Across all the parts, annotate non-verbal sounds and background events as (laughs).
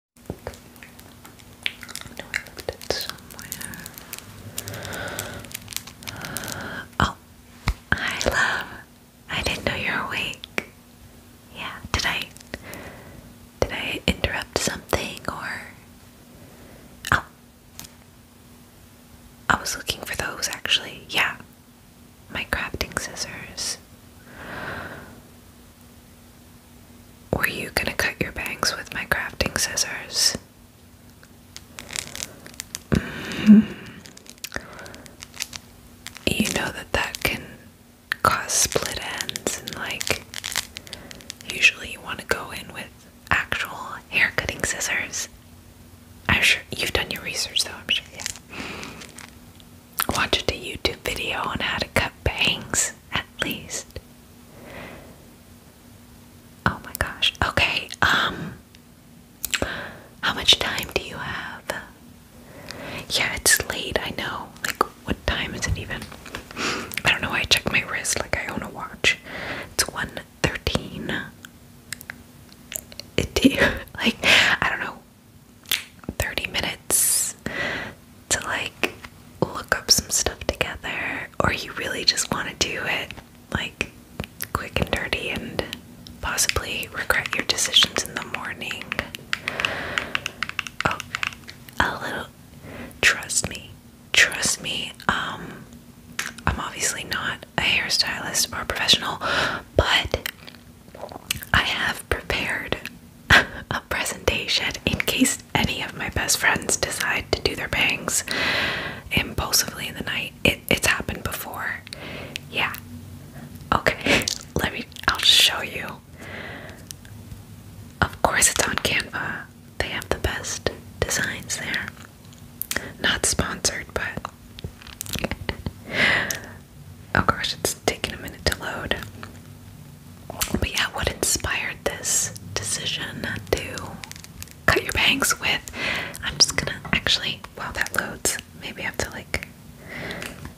Oh, I Oh, hi, love. I didn't know you're awake. Yeah, did I? Did I interrupt something or? Oh, I was looking for those actually. Yeah, my crafting scissors. Were you gonna cut your bangs with my crafting scissors? Mm-hmm. You know that that can cause split ends, and like, usually you want to go in with actual hair cutting scissors. I'm sure you've done your research, though. I'm sure, yeah watched a YouTube video on how to cut bangs, at least. Oh my gosh. Okay, um, how much time do you have? Yeah, it's late, I know. Like, what time is it even? I don't know I checked my wrist like I own a watch. It's 1.13. It, (laughs) like, I don't know. 30 minutes to like look up some stuff together, or you really just want to do it like quick and dirty and possibly regret your decisions in the morning. Oh, a little. Trust me. Trust me. Um, I'm obviously not a hairstylist or a professional, but I have prepared (laughs) a presentation in case any of my best friends decide to do their bangs impulsively in the night. it's happened before. Yeah. Okay, (laughs) let me, I'll show you. Of course, it's on Canva. They have the best designs there. Not sponsored, but. (laughs) oh gosh, it's taking a minute to load. But yeah, what inspired this decision to cut your bangs with? I'm just gonna actually, wow, that loads. Maybe I have to like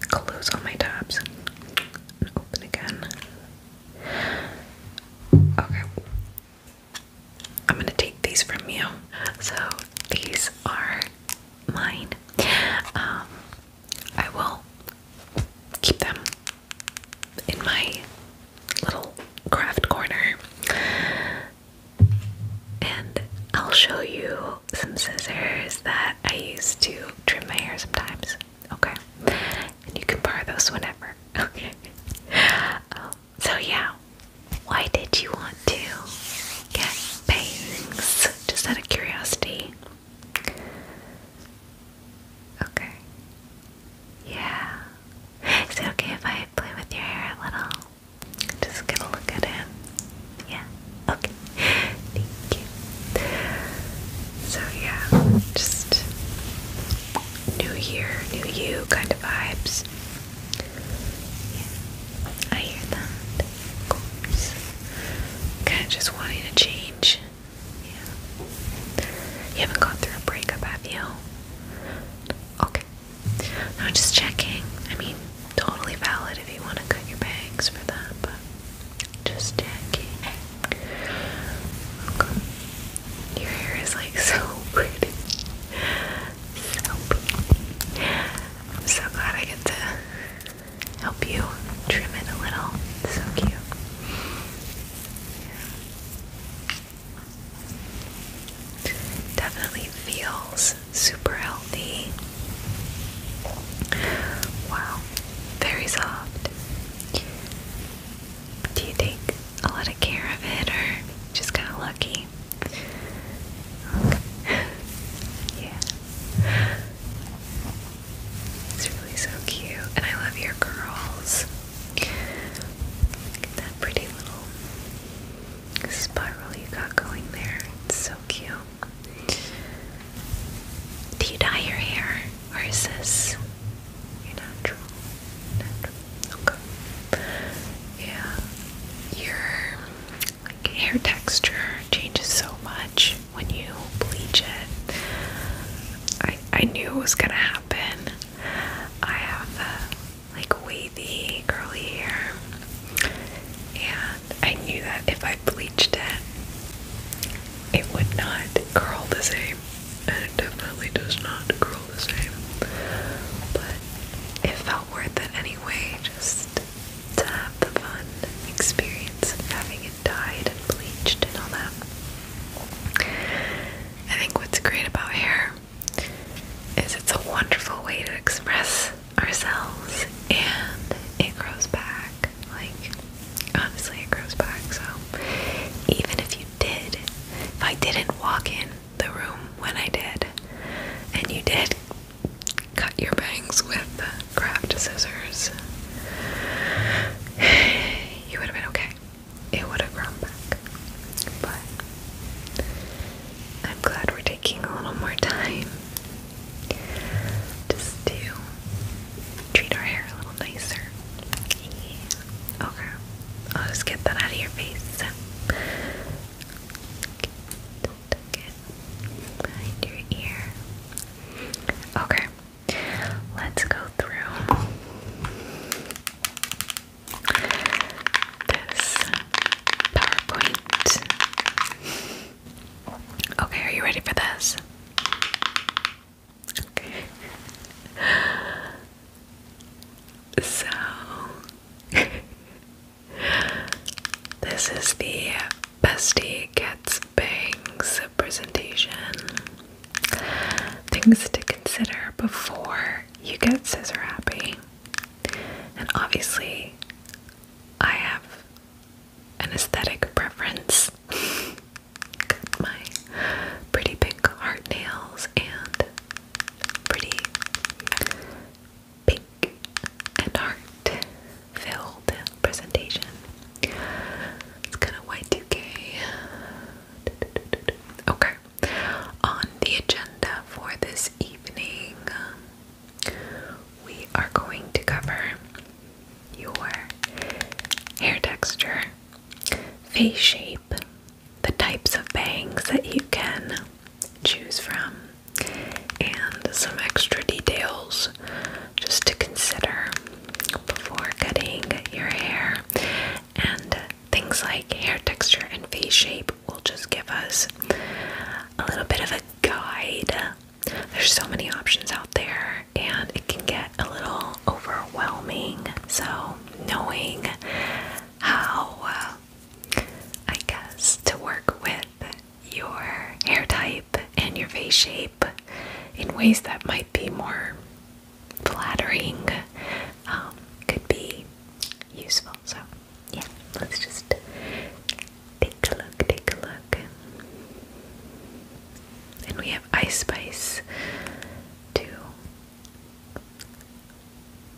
close all my tabs and open again. Okay. I'm gonna take these from you. So these are mine. Um, I will keep them in my little craft corner. And I'll show you some scissors that I use to trim my hair sometimes. Okay. And you can borrow those whenever. (laughs) Okay. Um, so, yeah. Why did you want to get bangs? Just out of curiosity. Okay. Yeah. Is it okay if I play with your hair a little? Just get a look at him. Yeah. Okay. Thank you. So yeah, just new year, new you kind of vibes. I hear that. Of course. Kind of just wanting to change yeah. You haven't gone through a breakup, have you? Okay. No, just checking. I mean, totally valid if you want to cut your bangs for that, but just checking. Okay. Your hair is like (laughs) so pretty. So pretty. I'm so glad I get to help you trim it a little. so cute. Definitely feels super healthy. Wow, very soft. Do you take a lot of care of it or just got lucky? (laughs) yeah. It's really so cute. And I love your curls. Look that pretty little spiral you got going there. It's so cute. Do you dye your hair? Or is this natural? Natural. Okay. Yeah. Your hair texture changes so much when you bleach it. I I knew it was gonna happen. I have uh, like wavy curly hair, and I knew that if I bleached it, it would not curl the same, and it definitely does not curl the same. But it felt worth it anyway, just to have the fun experience of having it dyed and bleached and all that. I think what's great about hair is it's a wonderful way to express ourselves and it grows back. Like, honestly, it grows back. So, even if you did, if I didn't walk in the room when I did, and you did cut your bangs with the craft scissors, he would have been okay. It would have grown back. But I'm glad we're taking a little more time just to treat our hair a little nicer. Okay. I'll just get that out of your face. Tuck it behind your ear. Okay. Let's go through this PowerPoint. Okay, are you ready for this? So, (laughs) this is the Bestie Gets Bangs presentation things to consider before you get scissor happy. And obviously, I have an aesthetic preference. (laughs) my pretty pink heart nails and pretty pink and heart filled presentation. It's kind of y 2 Okay. On the agenda for this evening, we are going to cover your hair texture, face shape, the types of bangs that you can choose from, and some extra details just to consider before cutting your hair, and things like hair texture and face shape will just give us a little bit of a guide. There's so many options out there, and it can get a little overwhelming. So, knowing how, uh, I guess, to work with your hair type and your face shape in ways that might be more flattering um, could be useful. So, yeah, let's just take a look, take a look. And we have Ice Spice to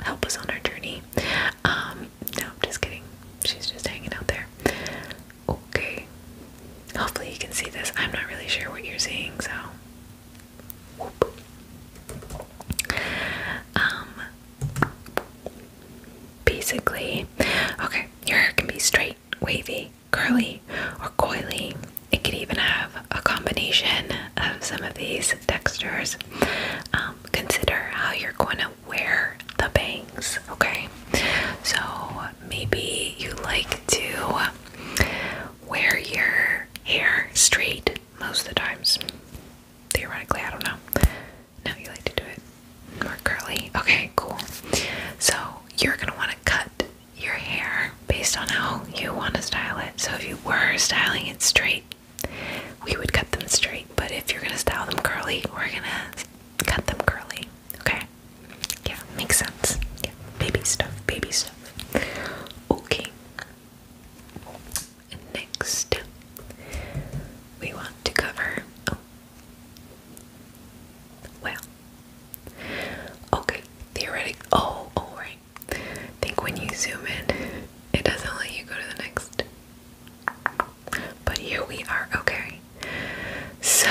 help us on our journey. Um, no, I'm just kidding. She's just hanging out there. Okay. Hopefully, you can see this. I'm not really sure what you're seeing, so. Um, basically, okay, your hair can be straight, wavy, curly, or coily. It could even have a combination of some of these textures. Um, consider how you're going to wear the bangs, okay? So maybe you like to wear your hair straight most of the times. Theoretically, I don't know. No, you like to do it more curly. Okay, cool. So you're gonna want to cut your hair based on how you want to style it. So if you were styling it straight, we would cut them straight. But if you're gonna style them curly, we're gonna cut them curly. Okay. Okay. Yeah, makes sense. Yeah, baby stuff, baby stuff. Okay. next, we want to cover. Oh, well. Okay, theoretic. Oh, all oh, right. I think when you zoom in, it doesn't let you go to the next. But here we are. Okay. So,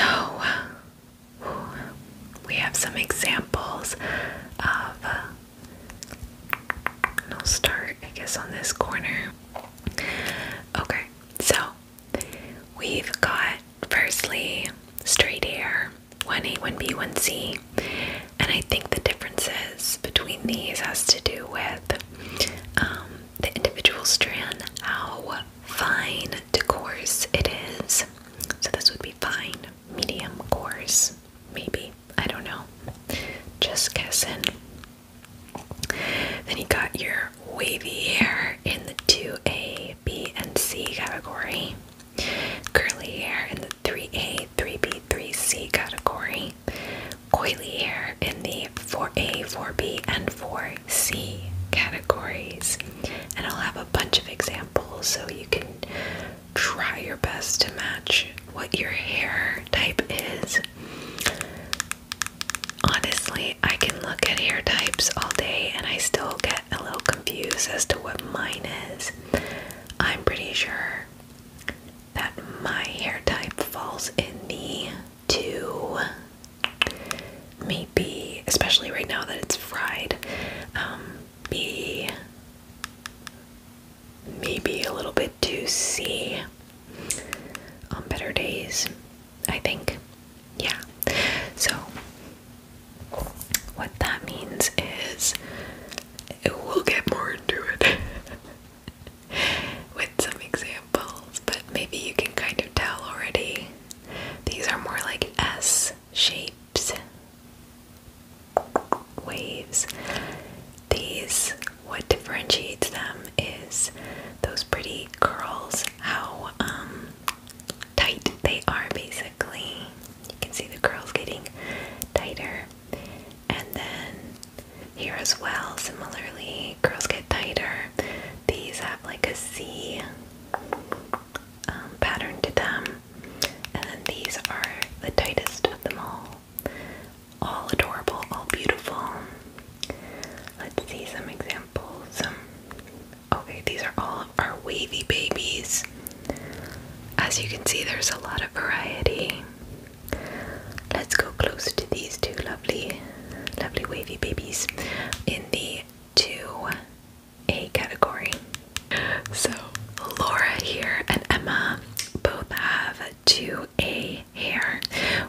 we have some examples of. Uh, I'll start, I guess, on this corner. Okay, so we've got firstly straight hair, 1A, 1B, 1C, and I think the differences between these has to do with um, the individual strand, how fine to coarse it is. So this would be fine. Medium coarse, maybe. I don't know. Just guessing. Then you got your wavy hair in the 2A, B, and C category. Curly hair in the 3A, 3B, 3C category. Coily hair in the 4A, 4B, and 4C categories and I'll have a bunch of examples so you can try your best to match what your hair type is. Honestly, I can look at hair types all day and I still get a little confused as to what mine is. I'm pretty sure that my hair type falls in the two maybe, especially right now that it's fried, um, be maybe a little bit too juicy on better days, I think. Yeah. So, what that means is we'll get more into it (laughs) with some examples, but maybe you can kind of tell already. These are more like S shaped waves. These, what differentiates them is those pretty curls, how um, tight they are basically. You can see the curls getting tighter. And then here as well, similarly, curls get tighter. These have like a C um, pattern to them. And then these are the tightest of them all. All adorable, all beautiful. Let's see some examples. Um, okay, these are all of our wavy babies. As you can see, there's a lot of variety. Let's go close to these two lovely, lovely wavy babies in the two a category. So Laura here and Emma both have 2A hair,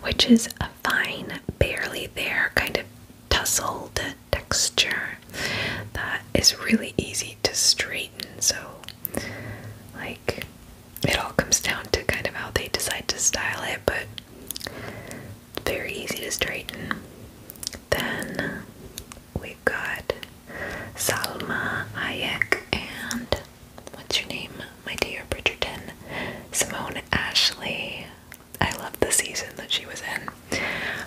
which is a fine, barely there kind of tussled texture that is really easy to straighten. So, like, it all comes down to kind of how they decide to style it, but very easy to straighten. Then we have got Salma Hayek and what's your name, my dear Bridgerton? Simone Ashley. I love the season that she was in.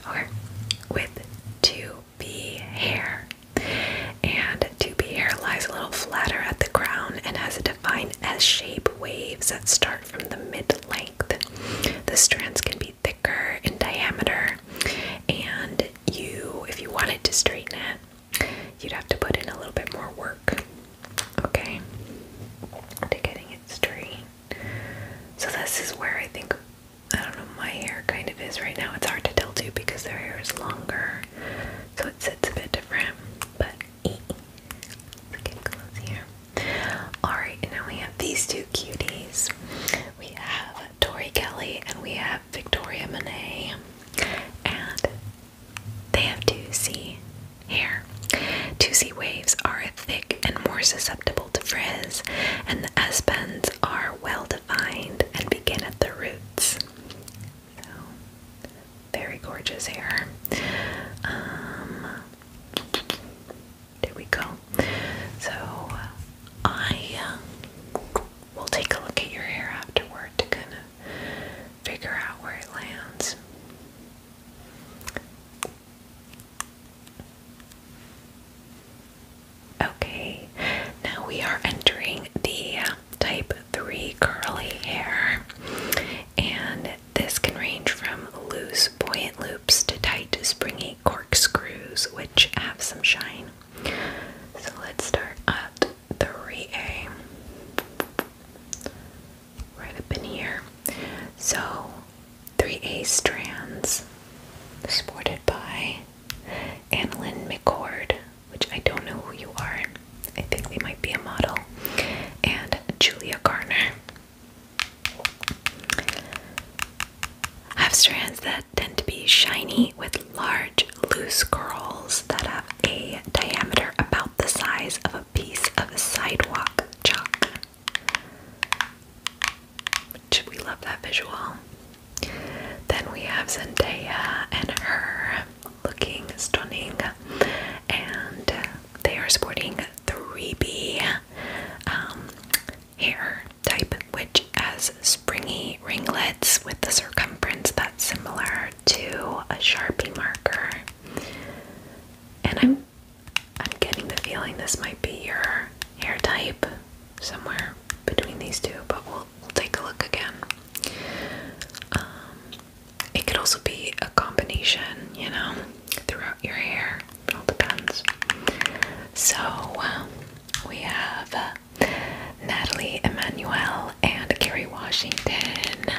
Okay, with 2B hair. And 2B hair lies a little flatter at the crown and has a defined S shape waves that start from the mid length. The strands can be thicker in diameter, and you, if you wanted to straighten it, you'd have to put in a little bit more work, okay, to getting it straight. So, this is where I think, I don't know, my hair kind of is right now. It's hard to tell too because their hair is longer, so it sits a bit different, but let's get close here. Alright, now we have these two cuties. We have Tori Kelly and we have Victoria Monet. And they have 2C hair. 2C waves are thick and more susceptible to frizz, and the S bends are well defined and begin at the roots. very gorgeous hair. Um, there we go. So uh, I uh, will take a look at your hair afterward to kind of figure out where it lands. Okay, now we are entering the uh, type 3 curly hair, and this can range from loose, buoyant to tight springy corkscrews which have some shine. So let's start at 3A. Right up in here. So 3A strands sported by Annalyn McCord, which I don't know who you are. I think they might be a model. And Julia Garner have strands that tend to be shiny with large loose curls that have a diameter about the size of a piece of sidewalk chalk. we love that visual. Then we have Zendaya and her looking stunning, and they are sporting 3B um, hair type, which has springy ringlets with the circumference that's similar to a Sharpie marker. And I'm I'm getting the feeling this might be your hair type somewhere between these two, but we'll, take a look again. Um, it could also be a combination, you know, throughout your hair. It all depends. So um, we have uh, Natalie Emanuel and Gary Washington,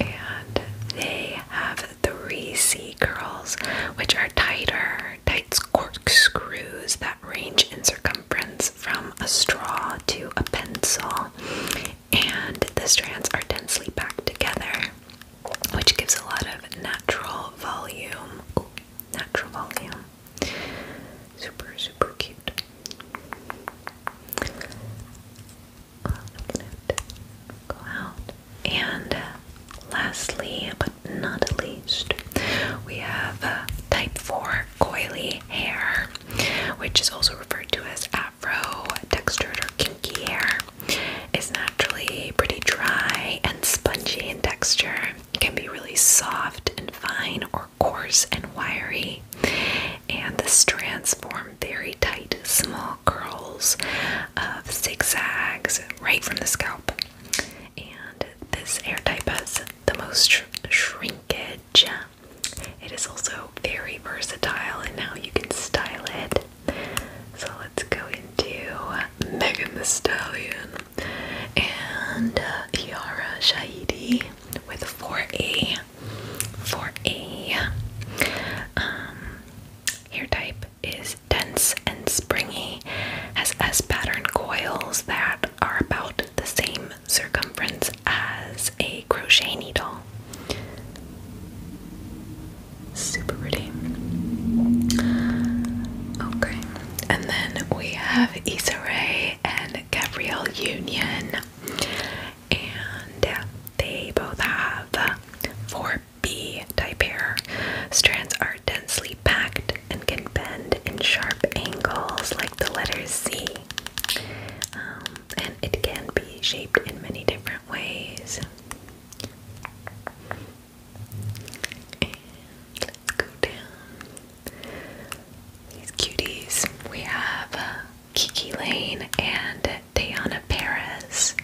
and they have three C curls, which are tighter, tight screws that range in circumference from a straw to a pencil, and the strands are densely packed together which gives a lot of natural volume. natural volume. Super, super cute. go out. And uh, lastly, but not least, we have uh, type 4 coily hair, which is also referred to as afro, textured, or kinky hair is naturally pretty dry and spongy in texture. It can be really soft and fine or coarse and wiry. And the strands form very tight, small curls of zigzags right from the scalp. And this hair type has the most shrinkage. It is also very versatile in how you can style it so let's go into Megan the Stallion and uh, Yara Shahidi with 4A. 4A. Um, hair type is dense and springy, has S pattern coils that are about the same circumference as a crochet needle. Super pretty. Okay, and then we have Issa and Gabrielle Union, and they both have 4B type hair. Strands are densely packed and can bend in sharp angles like the letter C. Um, and it can be shaped in many different ways let's go down these cuties. We have uh, Kiki Lane and Diana Perez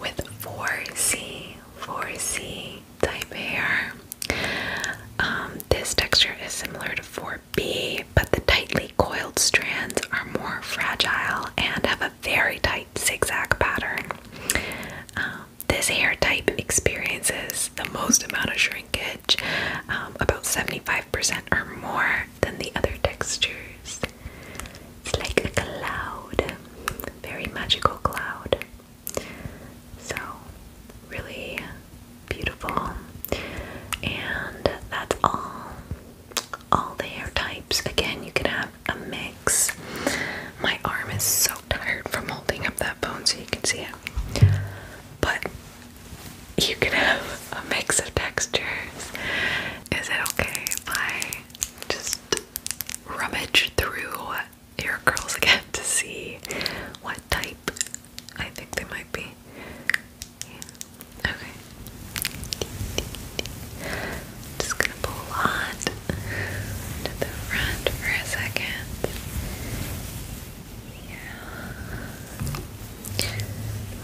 with 4C, 4C type hair. Um, this texture is similar to 4B, but the tightly coiled strands are more fragile and have a very tight zigzag pattern. Um, this hair type experiences the most amount of shrinkage, um, about 75% or more than the other textures. It's like a cloud, very magical cloud. So, really beautiful. And that's all. All the hair types. Again, you can have a mix. My arm is so tired from holding up that phone so you can see it. But you could have a mix of textures. Is it okay if I just rummage through your curls again (laughs) to see what type I think they might be? Okay just gonna pull on the front for a second. Yeah.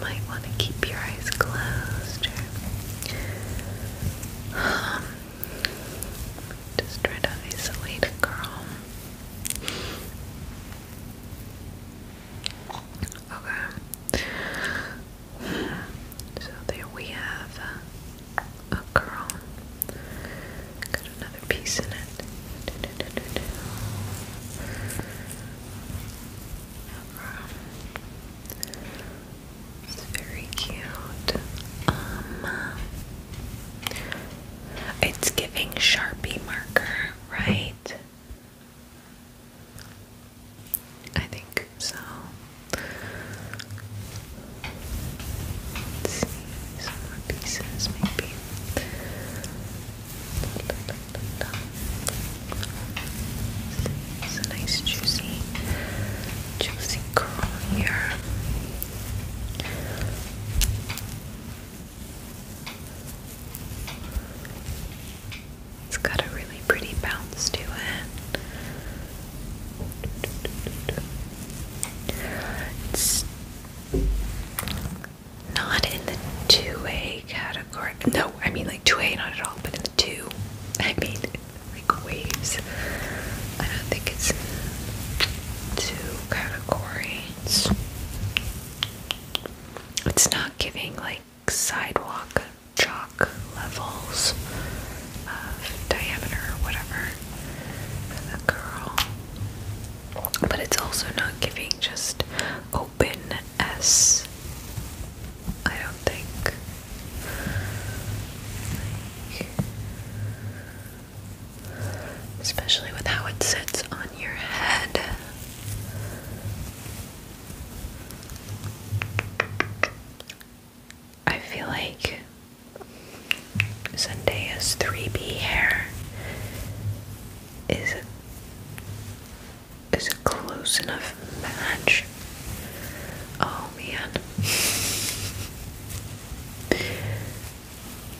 might want to keep your eyes closed. Um, just try to isolate a Okay. So there we have uh, a, a Got another piece in it. It's very cute. Um, it's giving Sharpie marker, right? I think so see some more pieces maybe. It's a nice juicy, juicy curl here. It's got a really pretty bounce to it. It's not in the 2A category. No, I mean like 2A not at all, but in the 2. I mean like waves. I don't think it's 2 category. it's not giving like sidewalk chalk levels of diameter or whatever the girl. But it's also not giving just open S. I don't think. especially with how it sits on your head. I feel like Zendaya's 3B hair is a, is a close enough match. Oh man.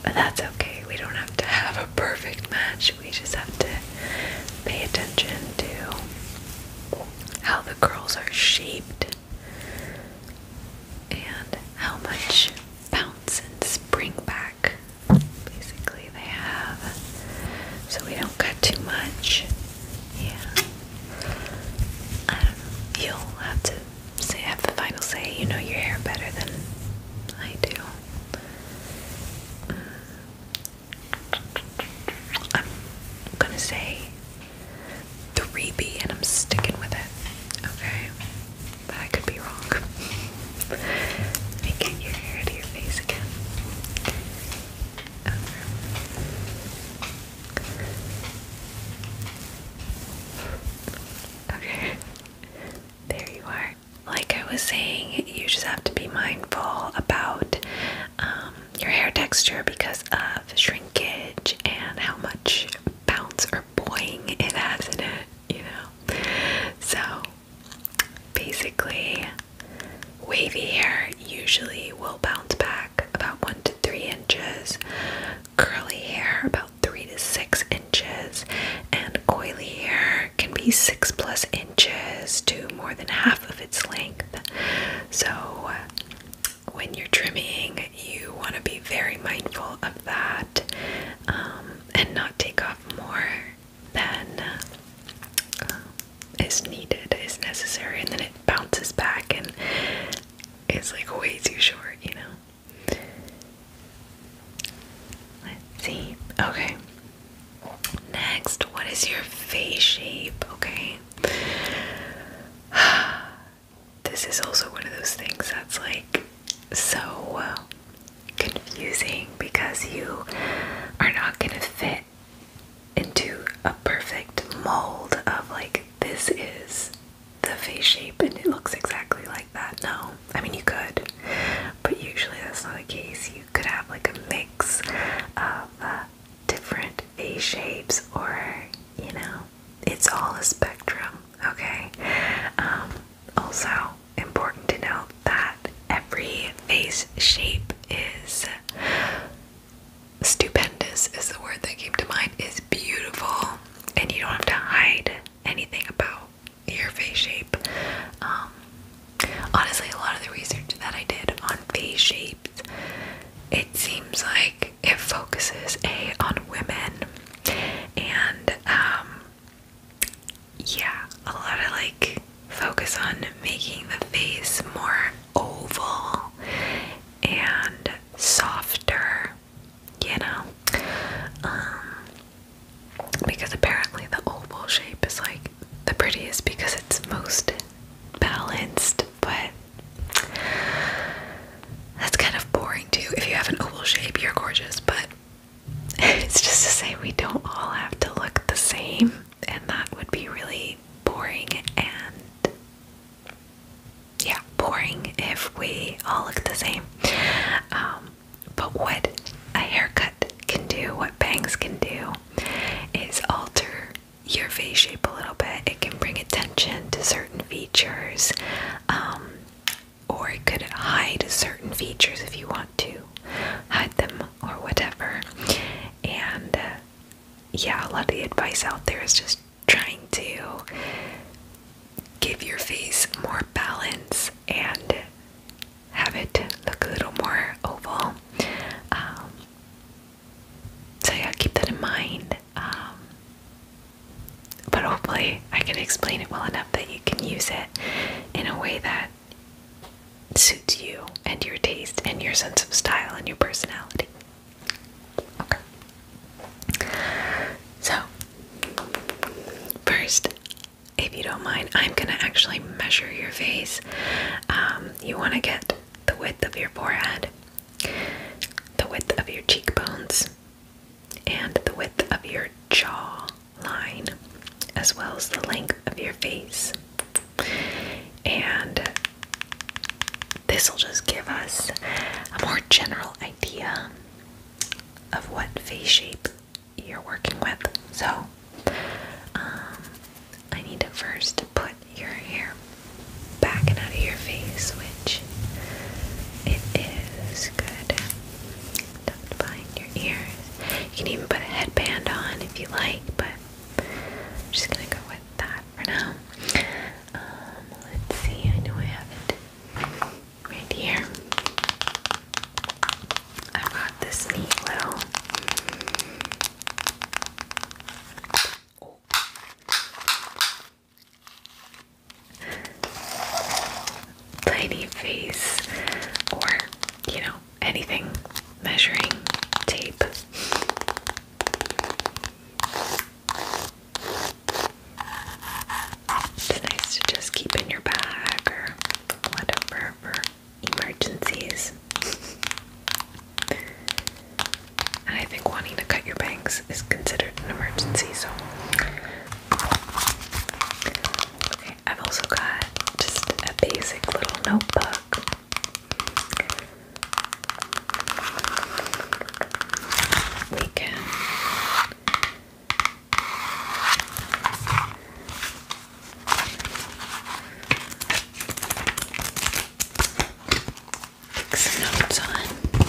But that's okay. We don't have to have a perfect match. We just have to pay attention to how the curls are shaped and how much bounce and spring back basically they have so we don't cut too much. Yeah. Um, you'll have to have the final say, you know your hair better than I do. Um, I'm gonna say 3B, and I'm sticking with it. Okay? But I could be wrong. Let your hair to your face again. Okay. There you are. Like I was saying, you just have to be mindful about um, your hair texture because of shrinkage and how much bounce or boing it has in it, you know. So basically, wavy hair usually will bounce back about one to three inches, curly hair about three to six inches, and coily hair can be six plus inches to more than half of its length. So when you're trimming, you want to be very mindful of that um, and not take off more than uh, is needed, is necessary, and then it bounces back and is like way too short, you know. Let's see. Okay. Next, what is your face shape? Okay. (sighs) this is also one of those things that's like so uh, confusing because you are not going to fit into a perfect mold of like this is the face shape and it looks exactly like that. No, I mean you could, but usually that's not the case. You could have like a mix of uh, different face shapes or you know it's all a spectrum, okay? Um, also, important to know that every face shape is stupendous, is the word that came to mind, is beautiful, and you don't have to hide anything about your face shape. Um, honestly, a lot of the research that I did on face shapes, it seems like it focuses a on women and um, yeah, a lot of like focus on making the face more oval and softer, you know. Um, because apparently the oval shape is like the prettiest because it's most balanced, but that's kind of boring too. If you have an oval shape, you're gorgeous, but (laughs) it's just to say we don't all have to look the same, and that would be really boring and yeah, boring if we all look the same. Um, but what a haircut can do, what bangs can do, is alter your face shape a little bit. It can bring attention to certain features, um, or it could hide certain features if you want to hide them or whatever. And uh, yeah, a lot of the advice out there is just trying to give your face more balance and have it look a little more oval. Um, so yeah, keep that in mind. Um, but hopefully, I can explain it well enough that you can use it in a way that suits you and your taste and your sense of style and your personality. Okay. So, first, if you don't mind, I'm gonna actually measure your face. Um, you want to get the width of your forehead the width of your cheekbones, and the width of your jaw line, as well as the length of your face. And this will just give us a more general idea of what face shape you're working with. So, um, I need to first put your hair back and out of your face, which it is good. Tucked your ears. You can even put a headband on if you like, but I'm just gonna go with that for now. Um, let's see, I know I have it right here. I've got this neat little tiny face or, you know, anything measuring tape. It's just keep in your bag or whatever for emergencies. And I think wanting to cut your bangs is considered an emergency, so. I've also got just a basic little notebook. We can notes on.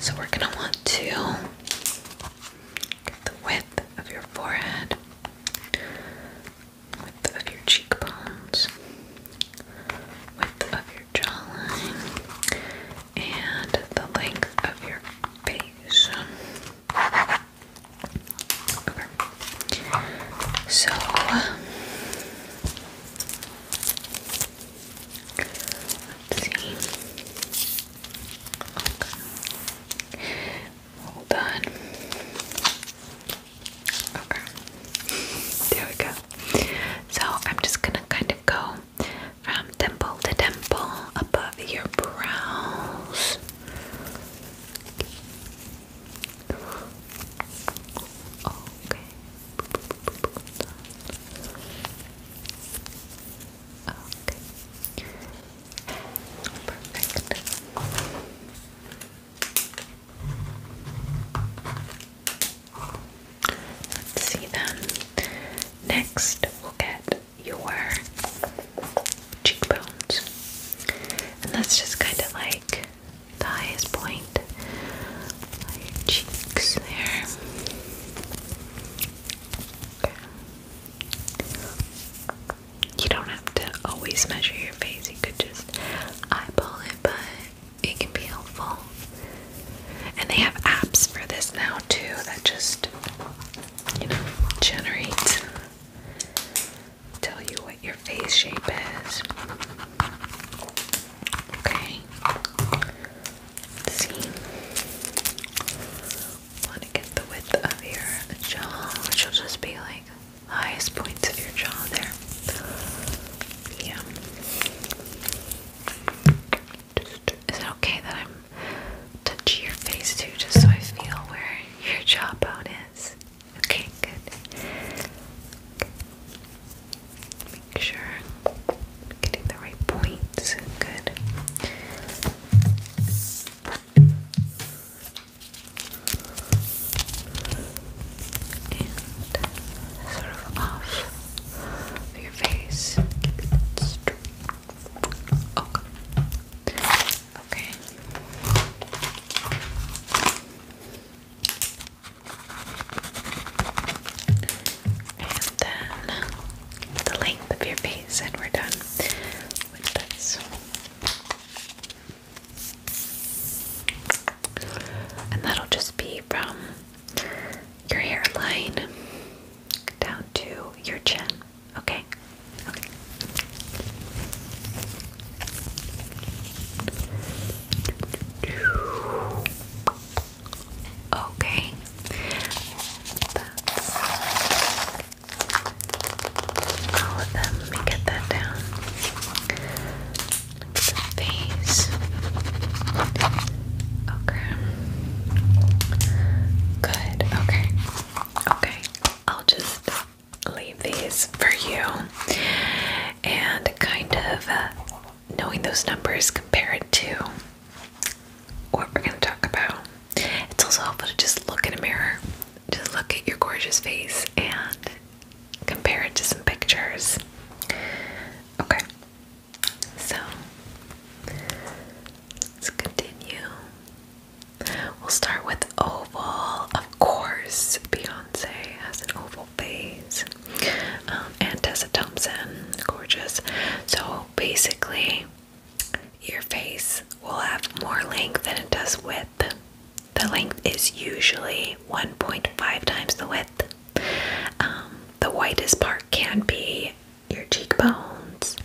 So we're gonna want to get the width of your forehead, width of your cheekbones, width of your jawline, and the length of your face. Okay. So, Let's see. Okay. Well done. Okay. There we go. So I'm just gonna kind of go from temple to temple above your brows. Okay. Okay. Perfect. Let's see then. Um, next, we'll get your cheekbones. And that's just kind of like the highest point your cheeks there. You don't have to always measure your face, you could just eyeball it, but it can be helpful. And they have apps for this now, too, that just, you know, generate, tell you what your face shape is. Okay. see. Want to get the width of your jaw, which will just be like highest points of your jaw there. Yeah. is it okay that I'm touching your face too, just so I feel where your jawbone is? Okay, good. Make sure I'm getting the right points. Good. And sort of off your face. Keep it straight. Okay. Okay. And then the length of your face, and we're done with this. And that'll just be from your hairline down to your chin. Okay? Okay. Okay. Let me get that down. face. Okay. Good. Okay. Okay. I'll just leave these for you and kind of uh, knowing those numbers, compare it to what we're going to talk about. It's also helpful to just look in a mirror, just look at your gorgeous face and compare it to some pictures. Okay, so let's continue. We'll start with oval. Of course, Beyonce has an oval phase. Um, and Tessa Thompson, gorgeous. So basically, your face will have more length than it does width. The length is usually 1.5 times the width. Um, the widest part can be your cheekbones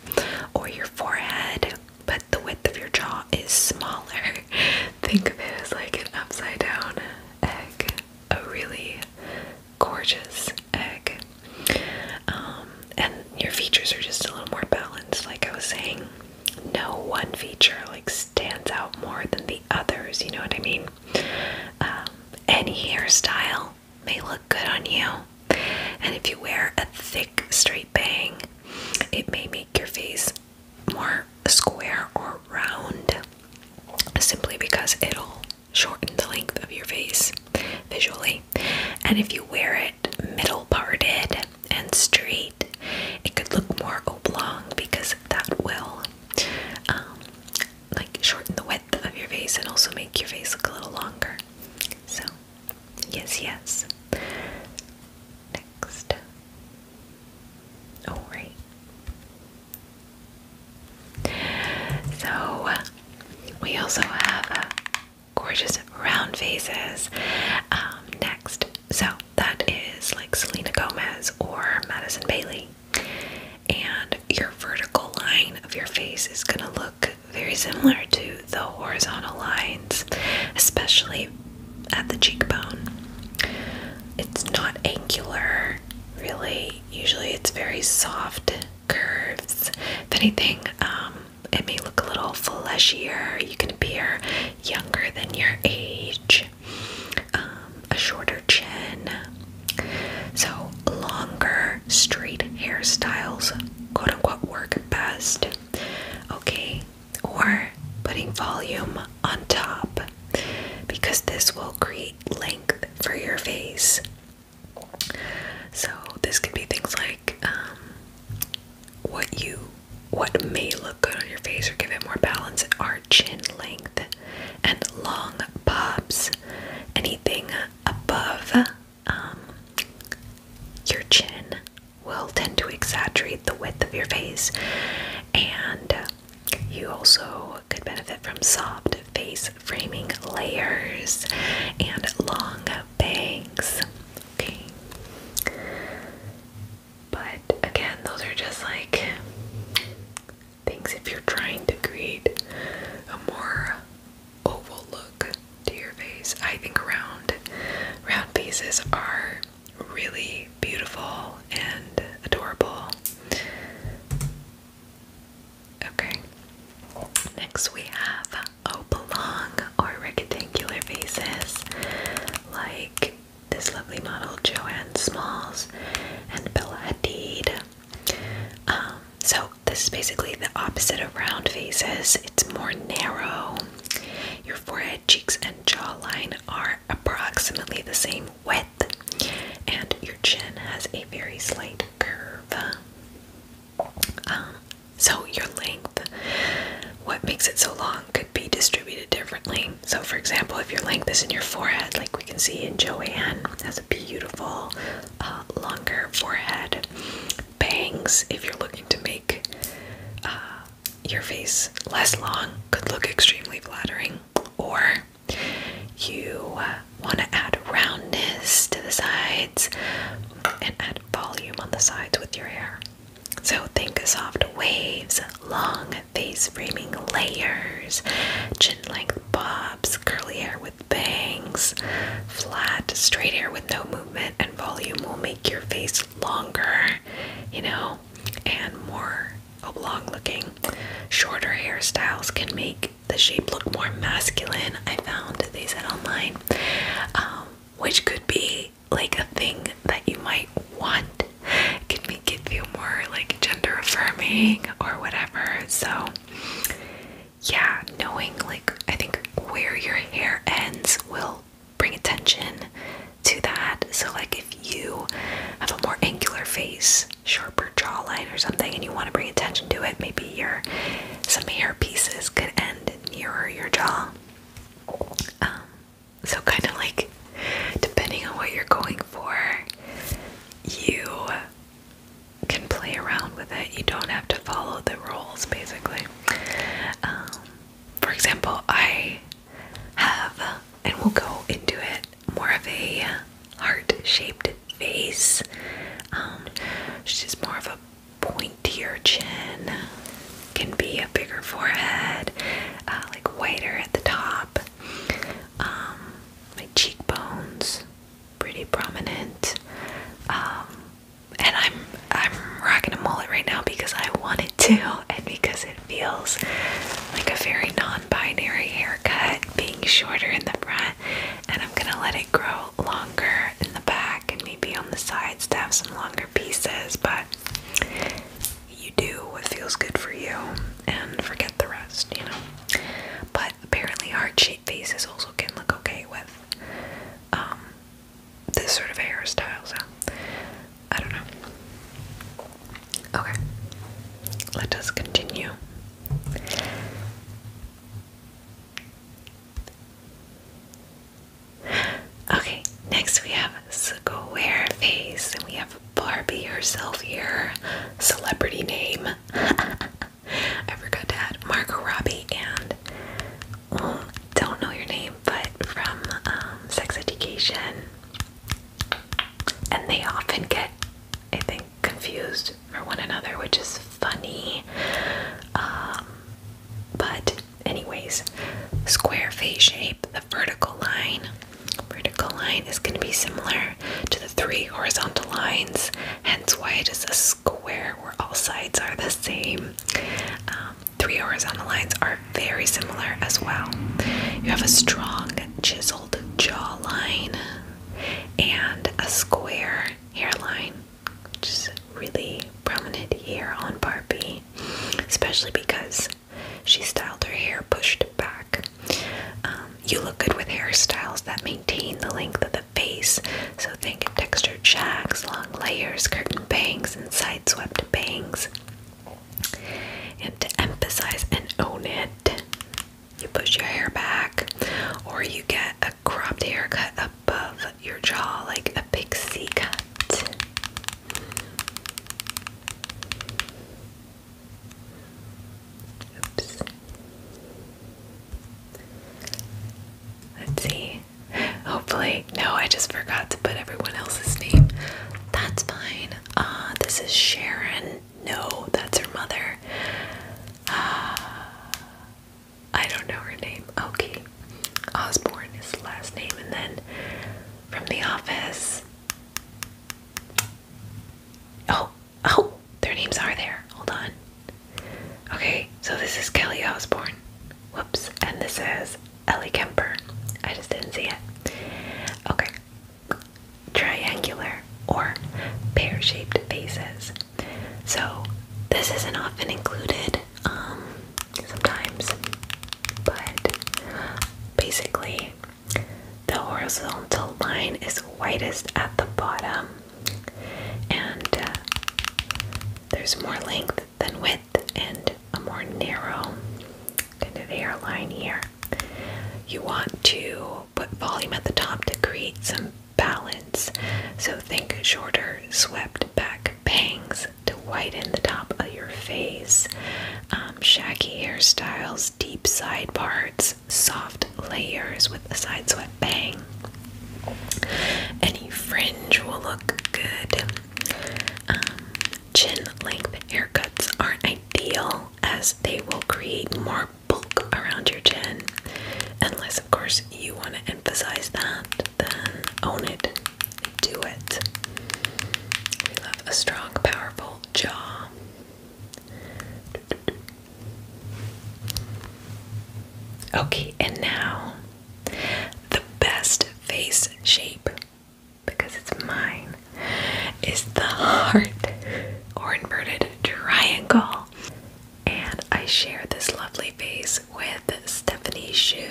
or your forehead, but the width of your jaw is smaller. (laughs) Think of it as like an upside down egg, a really gorgeous egg. Um, and your features are just a little more balanced, like I was saying. No one feature like stands out more than the others, you know what I mean? Um, any hairstyle may look good on you, and if you wear a thick straight bang, it may make your face more square or round simply because it'll shorten the length of your face visually. And if you wear it middle parted and straight, it could look more oblong because that will um, like shorten the width of your face and also make your face look a little longer. So, yes, yes. Next. Oh, right. So we also have uh, gorgeous round faces. Um, next, so that is like Selena Gomez or Madison Bailey, and your vertical line of your face is gonna look very similar to the horizontal lines, especially at the cheekbone. It's not angular, really usually it's very soft curves. If anything, um, it may look a little fleshier. You can appear younger than your age, um, a shorter chin. So, longer, straight hairstyles, quote unquote, work best. Okay, or putting volume on top because this will create length for your face. So this could be things like um, what you what may look good on your face or give it more balance are chin length and long bobs. Anything above um, your chin will tend to exaggerate the width of your face, and you also could benefit from soft face framing layers and long bangs. Okay. But again, those are just like things if you're trying to create a more oval look to your face. I think round round faces are really beautiful and adorable. Okay. Next we have oblong or rectangular faces, like this lovely model Joanne Smalls and Bella Hadid. Um, so this is basically the opposite of round faces. It's more narrow. Your forehead, cheeks, and jawline are approximately the same width, and your chin has a very slight curve. Um, so, your length, what makes it so long, could be distributed differently. So, for example, if your length is in your forehead, like we can see in Joanne, has a beautiful, uh, longer forehead. Bangs, if you're looking to make uh, your face less long, could look extremely flattering. Or you uh, want to add roundness to the sides and add volume on the sides with your hair. So think of soft waves, long face framing layers, chin length bobs, curly hair with bangs, flat, straight hair with no movement, and volume will make your face longer, you know, and more oblong looking. Shorter hairstyles can make the shape look more masculine. I found they said online, um, which could be like a thing that you might want. It could make it feel more like gender affirming or whatever. So, yeah, knowing like I think where your hair ends will bring attention to that. So, like if you have a more angular face, sharper jawline or something and you want to bring attention to it, maybe your some hair pieces could end nearer your jaw. Um, so kind of like depending on what you're going for, you can play around with it. You don't have to follow the rules basically. Um, for example, I have, and we'll go into it more of a heart-shaped face. Um, she's more of a pointier chin, can be a bigger forehead, uh, like whiter at the top. Um, my cheekbones pretty prominent. Um, and I'm I'm rocking a mullet right now because I wanted to, and because it feels like a very non binary haircut being shorter in the front and I'm gonna let it grow longer in the back and maybe on the sides to have some longer pieces but you do what feels good for you and forget the rest you know but apparently heart-shaped faces also can look okay with um, this sort of hairstyle so I don't know okay let us continue Okay, next we have square face, and we have Barbie herself here, celebrity name. (laughs) I forgot to add Margot Robbie and don't know your name, but from um, Sex Education, and they often get, I think, confused for one another, which is funny. Um, but, anyways, square face shape, the vertical line. Vertical line is going to be similar to the three horizontal lines, hence why it is a square where all sides are the same. Um, three horizontal lines are very similar as well. You have a strong chiseled jawline and a square hairline, which is really prominent here on Barbie, especially because she styled her hair pushed back. Um, you look good with hairstyles that maintain the length of the face, so think textured shacks, long layers, curtain bangs, and sideswept bangs. And to emphasize and own it, you push your hair back, or you get a cropped haircut above your jaw, like a pixie cut. Oops. Let's see. Hopefully, no, I just forgot to put everyone else's name. That's fine. Uh, this is Sharon. No, that's her mother. Uh, I don't know her name. Okay. Osborne is the last name. And then from the office. Oh, oh, their names are there. Hold on. Okay, so this is Kelly Osborne. Whoops. And this is Ellie Kemper. I just didn't see it. Okay triangular or pear-shaped faces. So this isn't often included um, sometimes, but basically the horizontal line is widest at the bottom and uh, there's more length than width and a more narrow kind of hairline here. You want to Put volume at the top to create some balance. So think shorter, swept back bangs to widen the top of your face, um, shaggy hairstyles, deep side parts, soft layers with a side swept bang. Any fringe will look good. Um, chin length haircuts aren't ideal as they will create more bulk around your chin. Unless, of course, you want to emphasize that, then own it. Do it. We love a strong, powerful jaw. Okay, and now the best face shape, because it's mine, is the (laughs) heart or inverted triangle. And I share this lovely face with Stephanie Shu,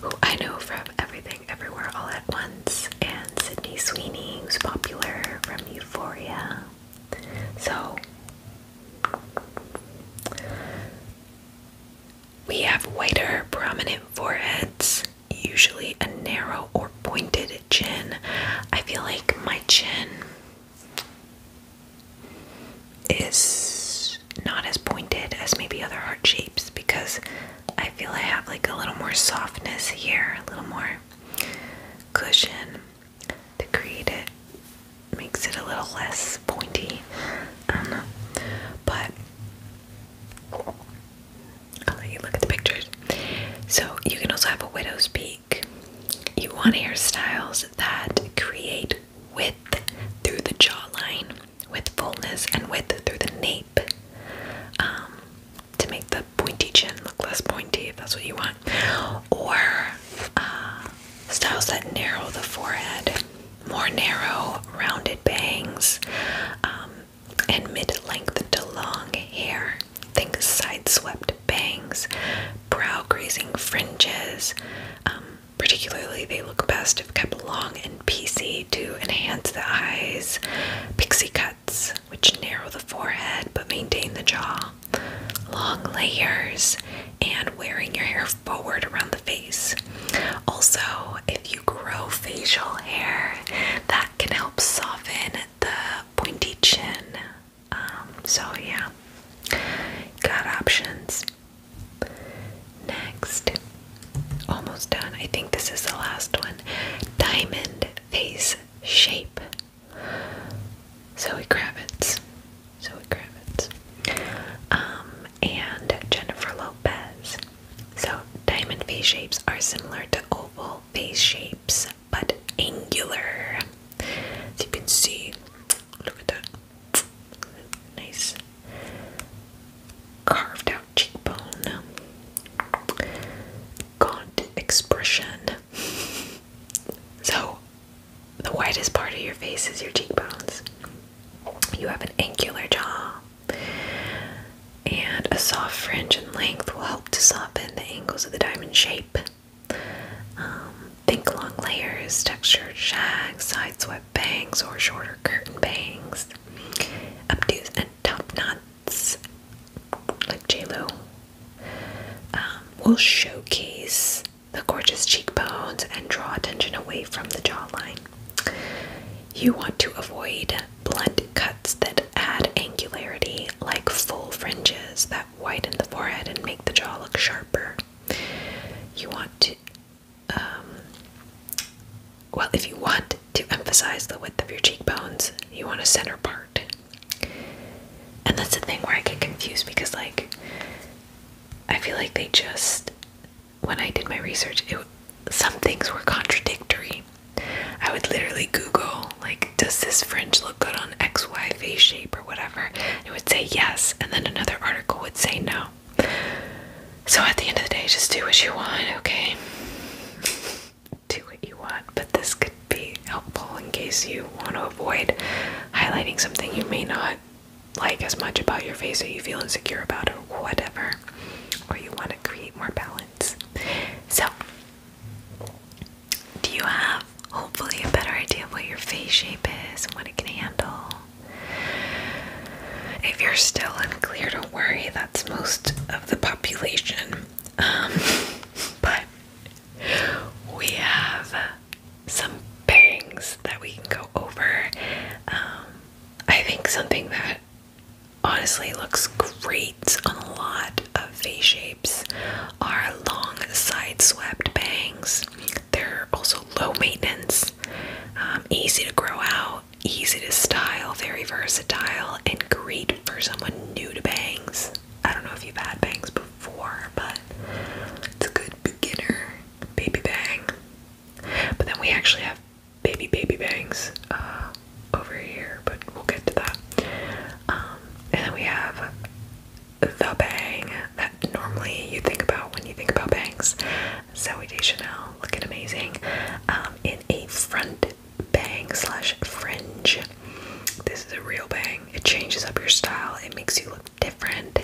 who I know from Everything Everywhere All at Once, and Sydney Sweeney, who's popular from Euphoria. So, we have whiter, prominent foreheads, usually a narrow or pointed chin. I feel like my chin is not as pointed as maybe other heart shapes because I feel I have like a little more softness here, a little more cushion to create it. Makes it a little less pointy. Um, but I'll let you look at the pictures. So you can also have a widow's peak you want hairstyles that create width through the jawline, with fullness and width through the nape, um, to make the pointy chin look less pointy if that's what you want. Or uh, styles that narrow the forehead, more narrow, rounded bangs, um, and mid length to long hair. Think sideswept bangs, brow grazing fringes. Um, particularly, they look best if kept long and PC to enhance the eyes. Pixie cuts, which narrow the forehead but maintain the jaw. Long layers and wearing your hair forward around the face. Also, if you grow facial hair, that can help soften the pointy chin. Um, so yeah, got options. Next, almost done. I think this is the last one. Diamond face shape. Zoe Kravitz. Zoe Kravitz. Um, and Jennifer Lopez. So diamond face shapes are similar to oval face shapes but angular. As you can see, look at that nice carved out cheekbone, gaunt expression. So, the whitest part of your face is your cheekbones. You have an angular jaw, and a soft fringe and length will help to soften the angles of the diamond shape. Um, think long layers, textured shag, side swept bangs, or shorter curtain bangs, obtuse and top knots, like J um, will showcase the gorgeous cheekbones and draw attention away from the jawline. You want to avoid blunt cuts that add angularity, like full fringes that that widen the forehead and make the jaw look sharper. You want to, um, well, if you want to emphasize the width of your cheekbones, you want a center part. And that's the thing where I get confused because, like, I feel like they just, when I did my research, it, some things were contradictory. I would literally Google, like, does this fringe look good on XY face shape or whatever? it would say yes, and then another article would say no. So at the end of the day, just do what you want, okay? do what you want, but this could be helpful in case you want to avoid highlighting something you may not like as much about your face or you feel insecure about or whatever, or you want to create more balance. So do you have hopefully a better idea of what your face shape is and what it can handle? If you're still unclear, don't worry, that's most of the population. Um, (laughs) but we have some bangs that we can go over. Um, I think something that honestly looks great on a lot of face shapes are long, side-swept bangs. They're also low maintenance, um, easy to grow out, easy to style, very versatile, and great for someone new to bangs. I don't know if you've had bangs before, but it's a good beginner baby bang. But then we actually have baby baby bangs uh, over here, but we'll get to that. Um, and then we have the bang that normally you think about when you think about bangs. Zoe Deschanel looking amazing um, in a front bang slash fringe. This is a real bang. It changes up your style. It makes you look different.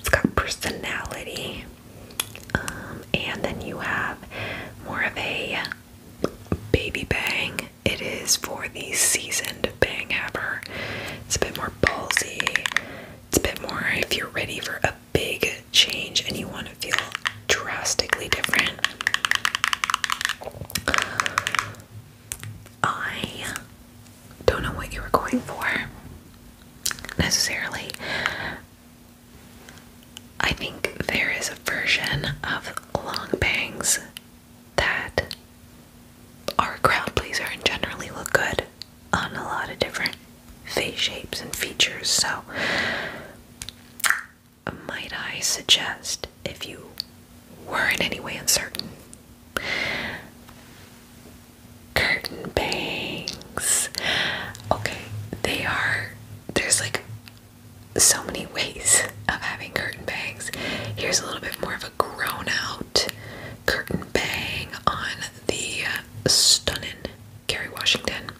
It's got personality. Um, and then you have more of a baby bang it is for the seasoned bang haver. It's a bit more ballsy. It's a bit more if you're ready for a big change and you want to feel drastically different. I don't know what you were going for necessarily. I think there is a version of long bangs that are crowd pleasers and generally look good on a lot of different face shapes and features. So, might I suggest if you were in any way uncertain? Curtain bangs. Okay, they are. There's like so many ways of having curtain bangs. Here's a little bit more of a grown out curtain bang on the stunning Kerry Washington.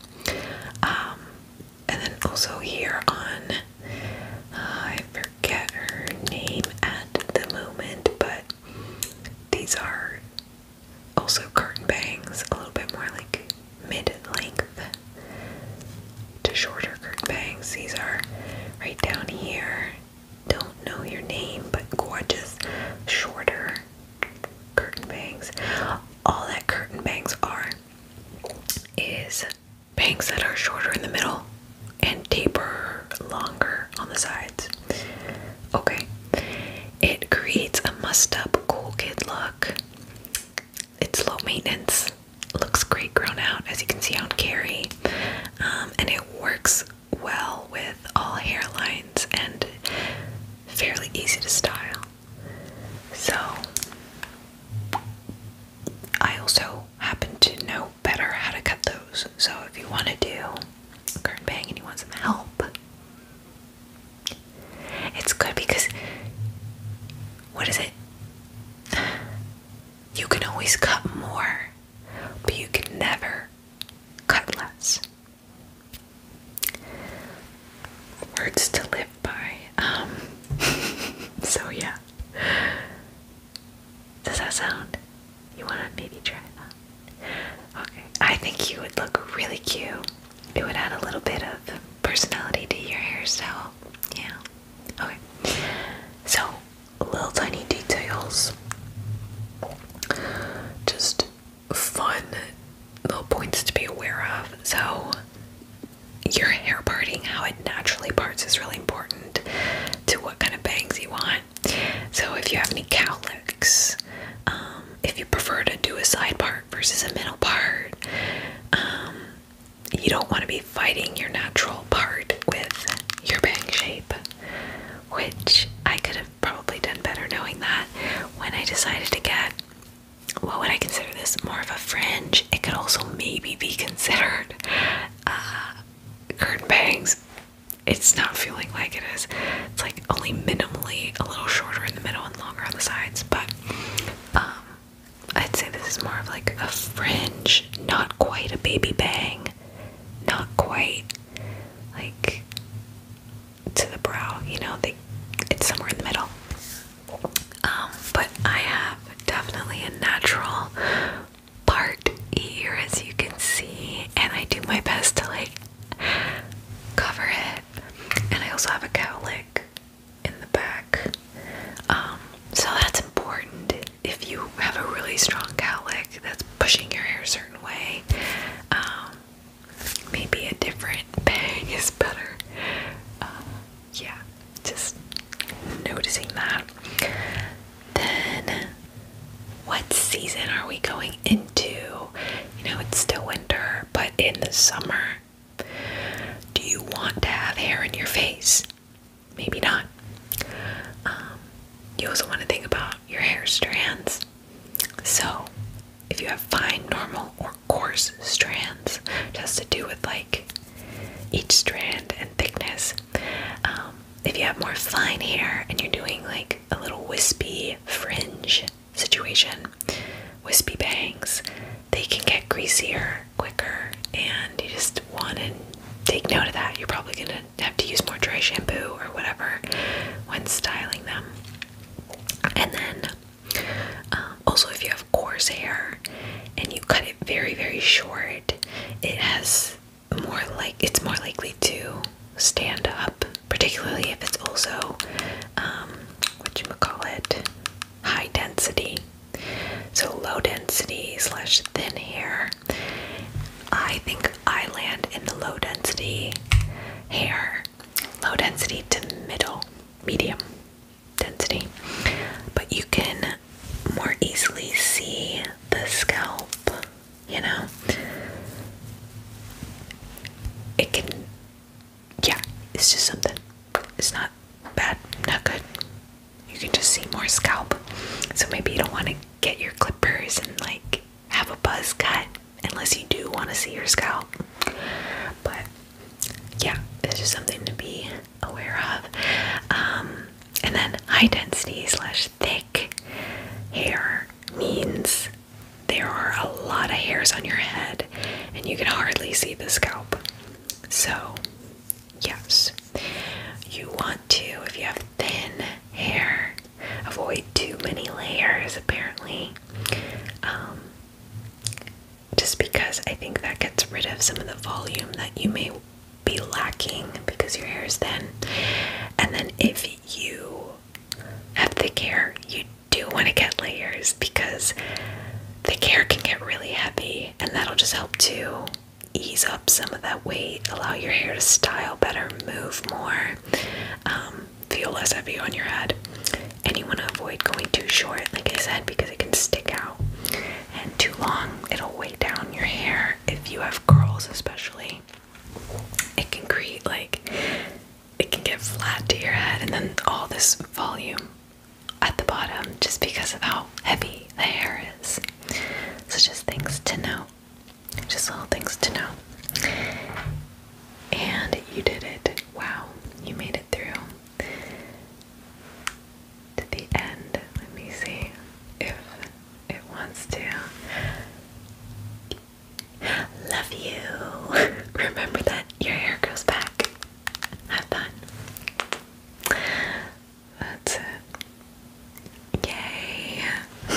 Um, and then also here on, I forget her name at the moment, but these are also curtain bangs, a little bit more like mid length to shorter curved bangs. These are right down here. Don't know your name, but gorgeous, shorter curtain bangs. All that curtain bangs are is bangs that are shorter in the middle and taper longer on the sides. Okay. It creates a must up cool kid look. It's low maintenance looks great grown out, as you can see on Carrie, um, and it works well with all hairlines and fairly easy to style. So, I also happen to know better how to cut those. So, if you want to do a curtain bang and you want some help, it's good because what is it? You can always cut more, but you can never cut less. Words to live by. Um, (laughs) so, yeah. Does that sound? You want to maybe try that? Okay. I think you would look really cute. It would add a little bit of personality to your hairstyle. Yeah. Okay. So, little tiny details. Just fun little points to be aware of. So, your hair parting, how it naturally parts, is really important to what kind of bangs you want. So, if you have any cowlicks, um, if you prefer to do a side part versus a middle part, um, you don't want to be fighting your natural part with your bang shape, which I could have probably done better knowing that when I decided to get what would I consider this more of a fringe? It could also maybe be considered uh, curtain bangs. It's not feeling like it is. It's like only minimally a little shorter in the middle and longer on the sides, but um, I'd say this is more of like a fringe, not quite a baby bang, not quite like to the brow, you know, they it's somewhere in the middle. Um, but I have definitely a natural part ear as you can see, and I do my best to like cover it. And I also have a cowlick in the back. Um, so that's important if you have a really strong cowlick that's pushing your hair a certain way, um, maybe a different bang (laughs) is better. Um, yeah, just noticing that. Then, what season are we going into? You know, it's still winter, but in the summer, do you want to have hair in your face? maybe not. Um, you also want to think about your hair strands. So, if you have fine, normal, or coarse strands, it has to do with like each strand and thickness. Um, if you have more fine hair and you're doing like a little wispy fringe situation, wispy bangs, they can get greasier quicker and you just want to take note of that. You're probably going to have to use more dry shampoo or whatever when styling them. And then uh, also, if you have coarse hair and you cut it very, very short, it has more like it's more likely to stand up, particularly if it's also um, what you would call it high density. So low density slash thin hair. I think I land in the low density hair, low density to middle, medium density. But you can more easily see the scalp, you know? It can, yeah, it's just something. It's not bad, not good, you can just see more scalp. So maybe you don't want to get your clippers and like have a buzz cut unless you do want to see your scalp. But yeah, it's just something to be aware of. Um, and then high density slash thick hair means there are a lot of hairs on your head and you can hardly see the scalp. So Yes. You want to, if you have thin hair, avoid too many layers apparently. Um, just because I think that gets rid of some of the volume that you may be lacking because your hair is thin. And then if you have thick hair, you do want to get layers because thick hair can get really heavy and that'll just help too ease up some of that weight, allow your hair to style better, move more, um, feel less heavy on your head. And you want to avoid going too short, like I said, because it can stick out. And too long, it'll weigh down your hair. If you have curls, especially, it can create like it can get flat to your head, and then all this volume at the bottom just because of how heavy the hair is. So just things to know. Just little things to know. And you did it. Wow. You made it through to the end. Let me see if it wants to. Love you. (laughs) Remember that your hair grows back. Have fun. That's it. Yay! (laughs)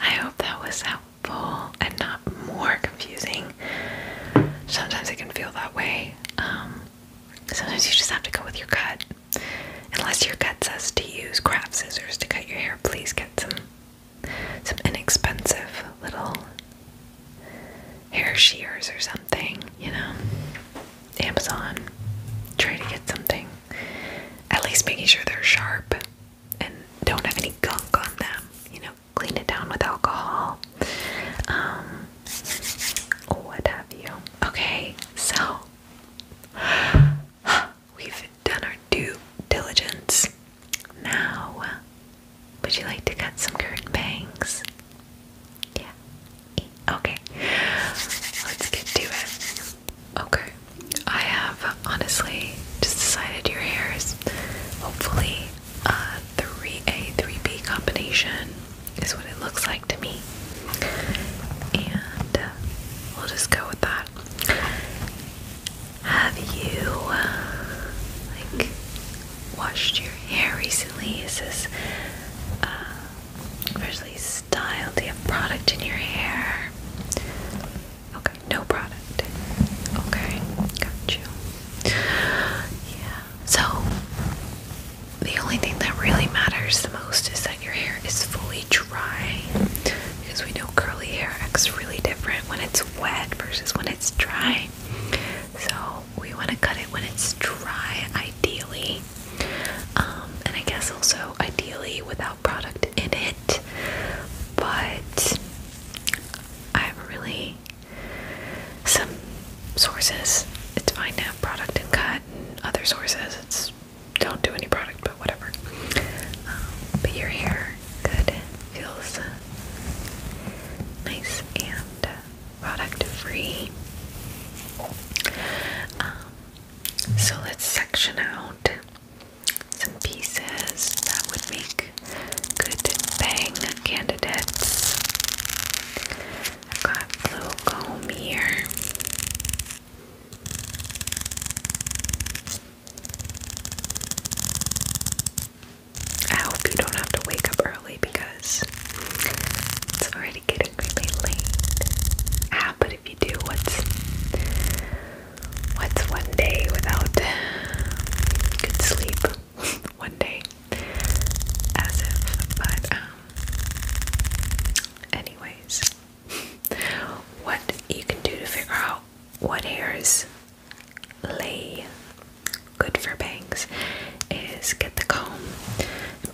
I hope that was helpful and not more confusing. Sometimes it can feel that way. Um, sometimes you just have to go with your gut. Unless your gut says to use craft scissors to cut your hair, please get some some inexpensive little hair shears or something, you know. Amazon, try to get something. At least making sure they're sharp and don't have any gunk on them. You know, clean it down with alcohol. Um, what have you? Okay, so (gasps) we've done our due diligence. Now, would you like to cut some curtain bangs? Yeah. Okay. Let's get to it. Okay. I have honestly just decided your hair is hopefully a 3A, 3B combination is what it looks like to me. And uh, we'll just go with that. Have you, like, washed your hair recently? Is this uh, Freshly styled. Do you have product in your hair? Okay, no product. Okay, got you. Yeah. So, the only thing that really matters the most is that your hair is fully dry. Because we know curly hair acts really different when it's wet versus when it's dry. So, we want to cut it when it's dry, ideally. Um, and I guess also ideally without product in it, but I have really. Some sources it's fine to have product and cut, other sources it's don't do any product, but whatever. Um, but your hair good feels uh, nice and. Uh, product free. Um, so let's section out some pieces that would make good bang candidates. I've got blue comb here. I hope you don't have to wake up early because it's already getting really late. Ah, but if you do, what's what's one day without uh, good sleep? (laughs) one day, as if. But um, anyways, what you can do to figure out what hairs lay good for bangs is get the comb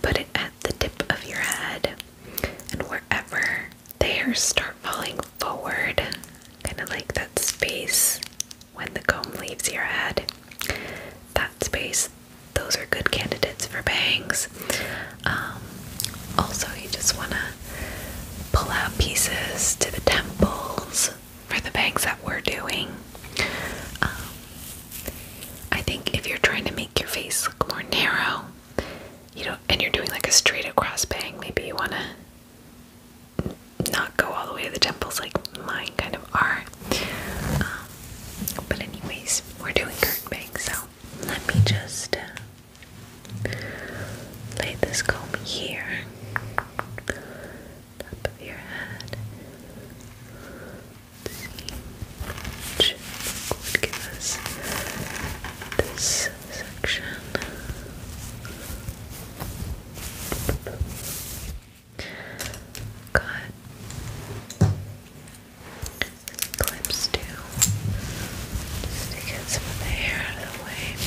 put it at the tip of your head and wherever the hairs start falling forward, kind of like that space when the comb leaves your head. That space, those are good candidates for bangs. Um, also, you just want to pull out pieces to the temples for the bangs that we're doing. Um, I think if you're trying to make your face look more narrow, you know, and you're doing like a straight across bang, maybe you want to not go all the way to the temples like mine kind of are. Um, but anyways, we're doing curtain bang, so let me just uh, lay this comb here, top of your head each would give us this section. Got clips too, just to get some of the hair out of the way.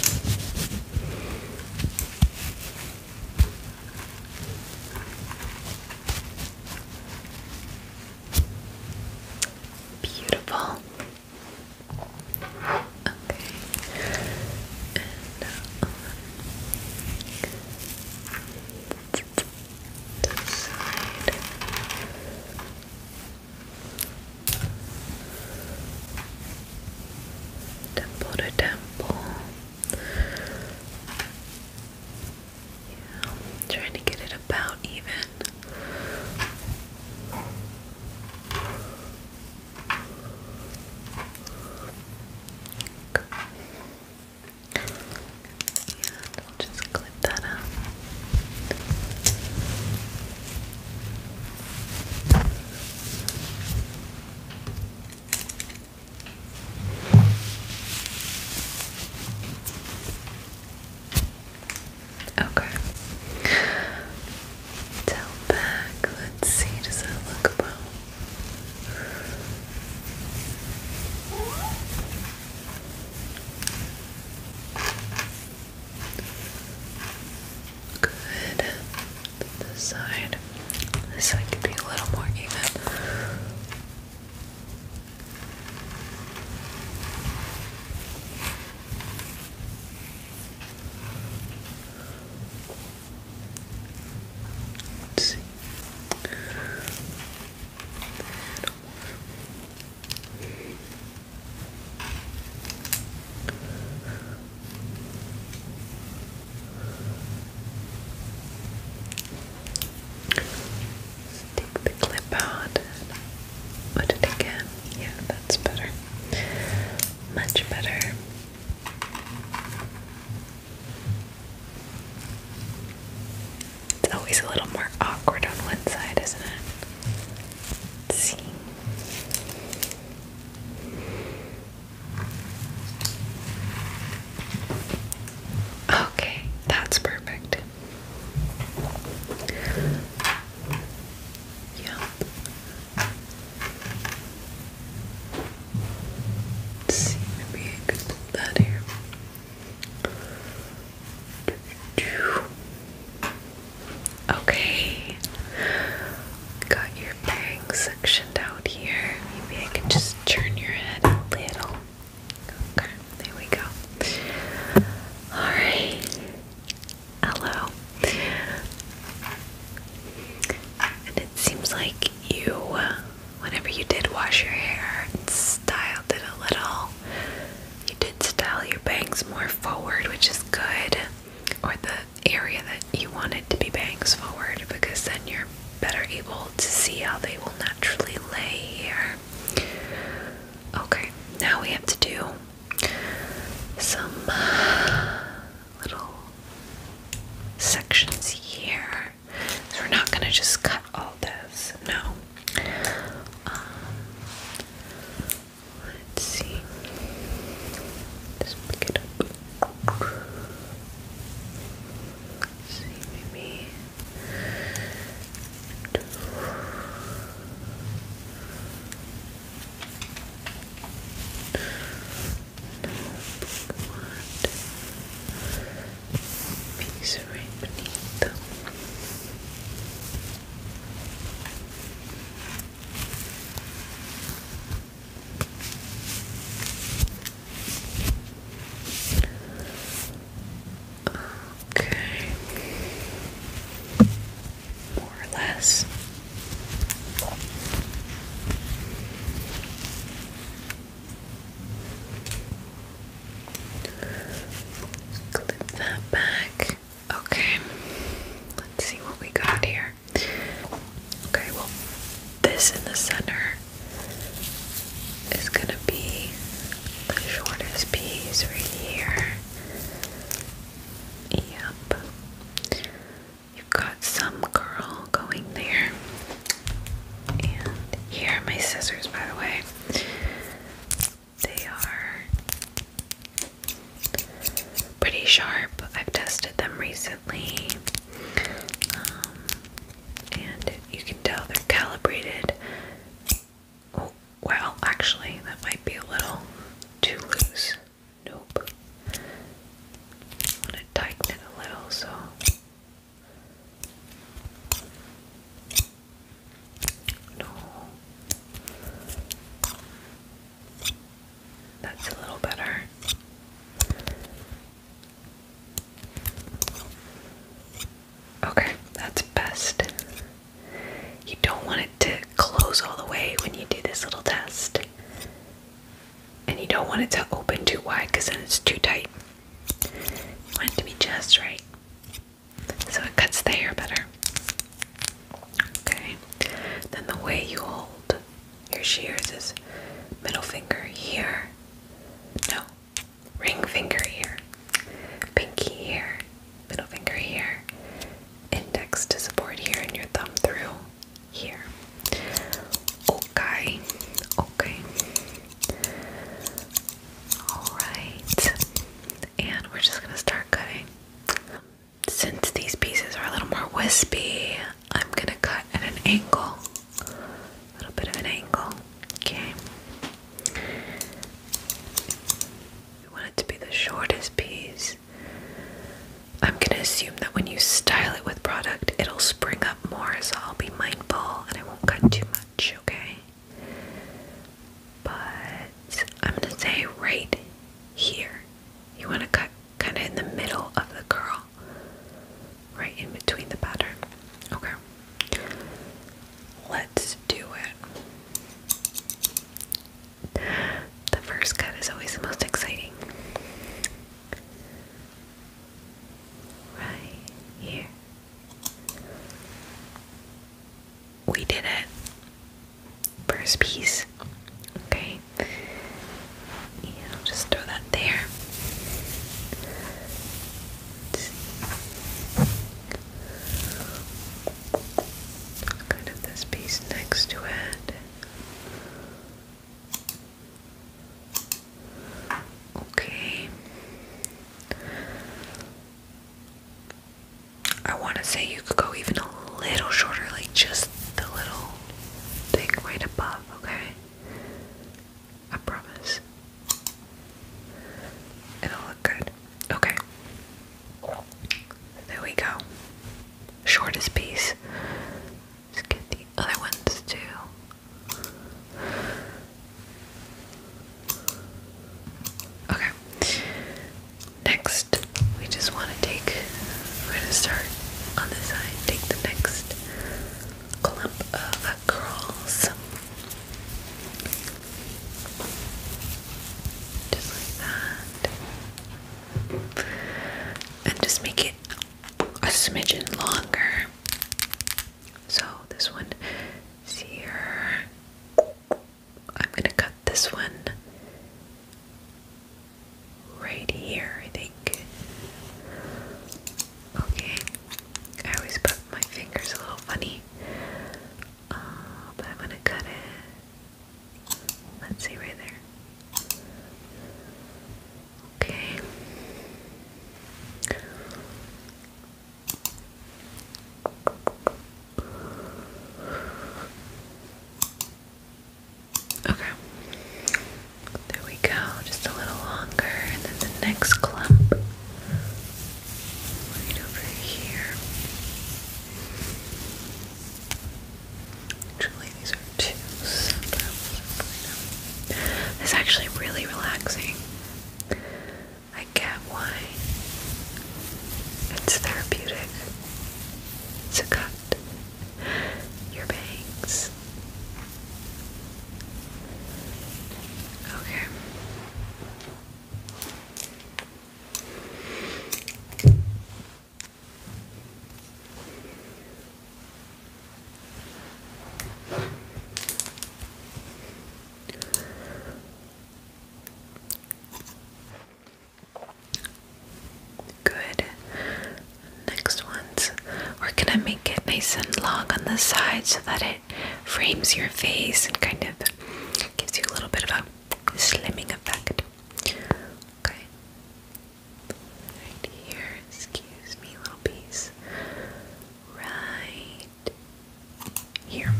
Beautiful. Okay. Um, temple to temple. Yeah, trying to get it about even. Okay. just clip that up. Okay. Tail back. Let's see. Does that look well? Good. This side. This side could be a little more even. Let's see. A little more take the clip out put it again. Yeah, that's better. Much better. It's always a little more awkward on one side, isn't it? Let's see. Okay, that's perfect. Yeah. see, maybe I could put that here. Okay. Got your bangs sectioned out here. Maybe I can just turn your head a little. Okay, there we go. Alright. Hello. And it seems like you, uh, whenever you did wash your hair and styled it a little, you did style your bangs more forward, which is good. Or the area that you wanted to be bangs forward, because then you're better able to see how they will naturally lay here. Okay, now we have to do some uh, little sections here. we're not gonna just cut all this, no. Um, let's see. Just pick it up. see, maybe piece right beneath them. Um, Okay. More or less. Clip that back. Okay. Let's see what we got here. Okay, well, this in the center it's gonna be the shortest piece right here. Yep. You've got some curl going there. And here are my scissors, by the way. They are pretty sharp. I've tested them recently. Um, and you can tell they're calibrated well, actually, that might be a little too loose. Nope. i to tighten it a little so. No. That's a little better. Okay, that's best. You don't want it to close all the way when you do this little test. And you don't want it to open too wide because then it's too tight. want it to be just right. So it cuts the hair better. Okay. Then the way you hold your shears is middle finger here. No, ring finger here, pinky here, middle finger here, index to support here, and your thumb through here. Okay, okay. Alright, and we're just gonna start cutting. Since these pieces are a little more wispy, I'm gonna cut at an angle a little bit of an angle. Okay. We want it to be the shortest piece. I'm gonna assume that when you style it with product, it'll spring up more, so I'll be mindful and I won't cut too much, okay? But I'm gonna say right here. You wanna cut kinda in the middle of the curl. Right in between the pattern. Okay. Let's do it. The first cut is always the most exciting. Right here. We did it. First piece. Okay. Yeah, just throw that there kind of this piece next to it. Okay. I want to say you could go even a little shorter, like just the little thing right above, okay? I promise. It'll look good. Okay. There we go. Shortest piece. Let's get the other ones too. Okay. Next, we just want to take, we're going to start on this side, take the next clump of curls. Just like that. And just make it a smidgen longer. So this one is here. I'm gonna cut this one right here, I think. Okay. I always put my fingers a little funny. Uh, but I'm gonna cut it. Let's see right there. Okay. Okay. There we go. Just a little longer, and then the next clump right over here. Actually, these are two separate. It's actually really relaxing. I get why. It's therapeutic. It's a cut. Your bangs. Okay. Good. Next ones, we're gonna make it nice and long on the side so that it frames your face and kind of Gives you a little bit of a slimming effect. Okay. Right here, excuse me, little piece. Right here.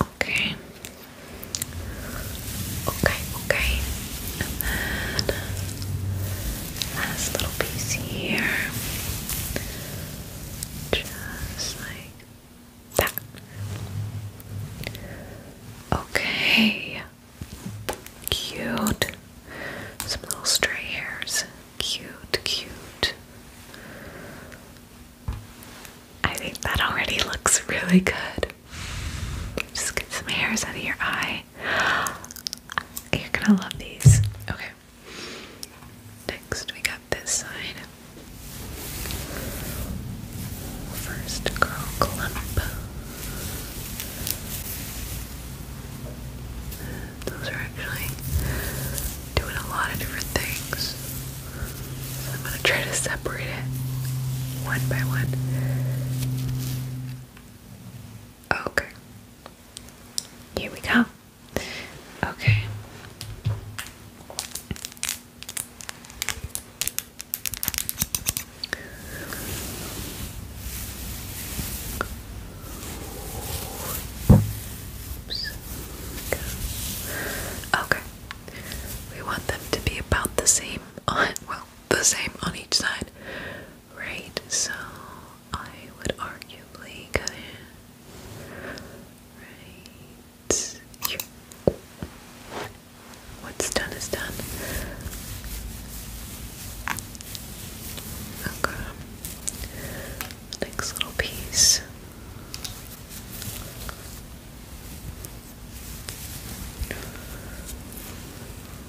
Okay. Okay, okay. And then last little piece here. Just like that. Okay. Cute. Some little stray hairs. Cute, cute. I think that already looks really good. Just get some hairs out of your eye. (gasps) You're gonna love these. Okay. Next, we got this side. First, curl clump. Those are actually doing a lot of different things. I'm going to try to separate it one by one. Okay. Here we go. Okay. Okay. We want them to be about the same on well, the same on each side. Right, so I would arguably go right What's done is done. Okay. Next little piece.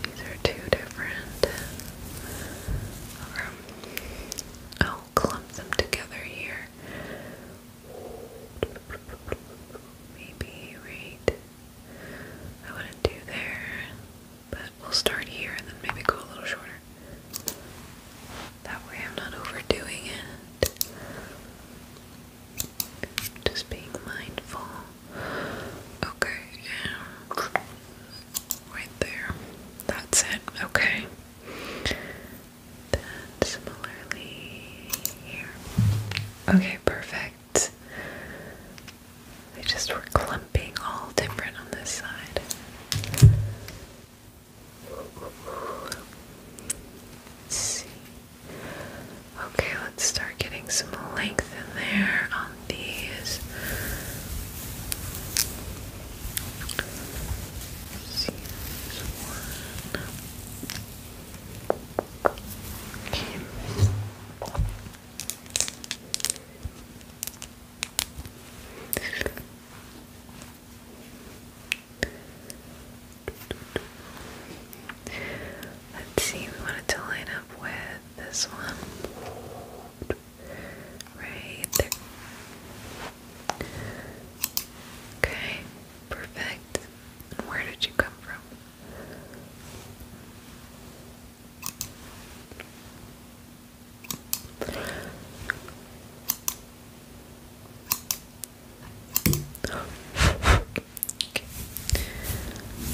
These are two different. Um, oh, clump them together here. Maybe right. I wouldn't do there, but we'll start here and then maybe go a little shorter. That way I'm not overdoing it. Just being mindful. Okay right there. That's it. Okay. Then similarly here. Okay, perfect. They just were clumping all different on this side. Let's see. Okay, let's start getting some length in there on these. Let's see, we want it to line up with this one right there. Okay, perfect. where did you come from? Okay.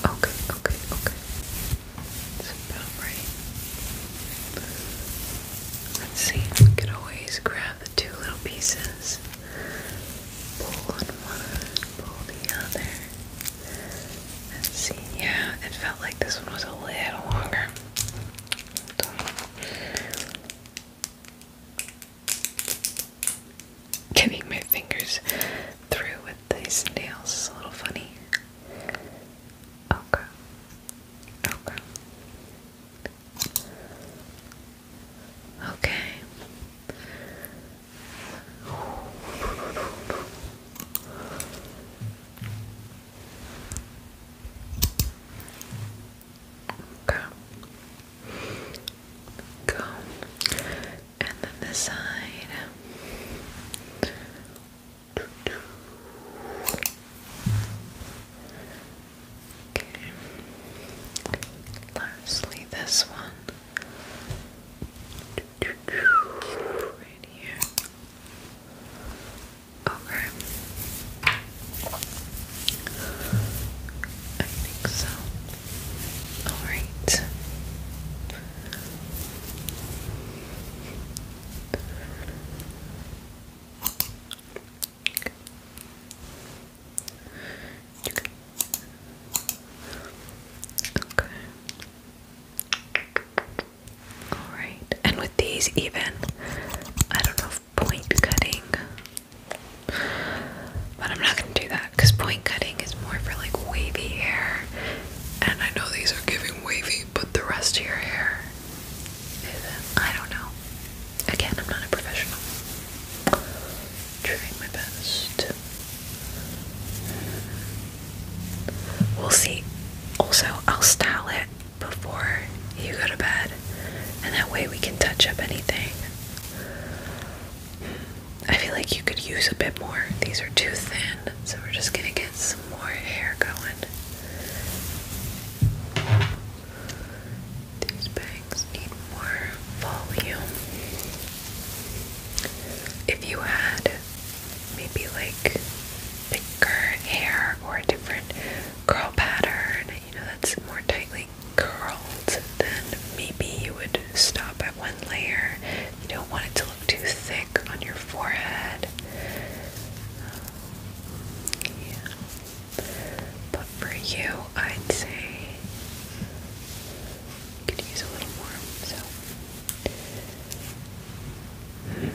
Okay, okay, okay. It's about right. Let's see, we could always grab the two little pieces, pull one, pull the other. Let's see, yeah, it felt like this one was a little longer. Getting my fingers through with these nails is a little funny. Okay. Okay. Okay. Okay. Go. And then this side. Lastly, this one Okay. I think so. Alright. Okay. Alright, and with these, even, I don't know if point cutting, but I'm not gonna do that because point cutting is more for like wavy hair. And I know these are giving wavy, but the rest of your hair I don't know. Again, I'm not a professional. Trying my best. We'll see. Also, I'll style it before you go to bed, and that way we can touch up anything. I feel like you could use a bit more. These are too thin, so we're just gonna get some more hair going. These bangs need more volume. If you had maybe like thicker hair or different curl pattern, you know, that's more tightly curled, then maybe you would stop at one layer. You don't want it to look too thick on your forehead. Yeah. But for you, I'd say you could use a little more, so. Okay.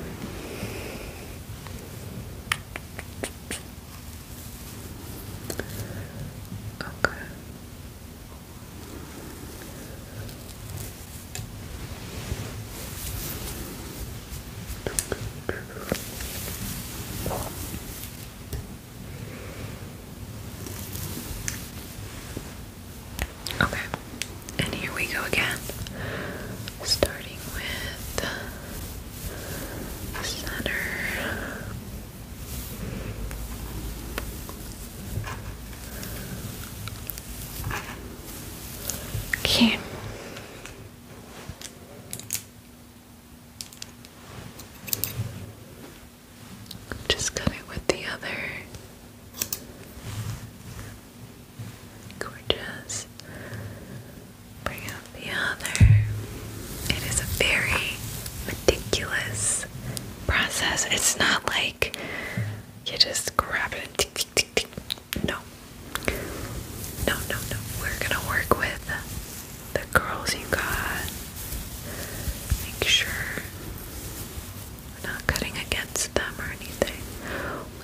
Okay, and here we go again, starting with the center. Okay, just cut it with the other. Gorgeous. Bring up the other. It is a very meticulous process. It's not like you just grab it, tick, tick, tick, no. No, no, no. We're gonna work with the girls you got. Make sure we're not cutting against them or anything.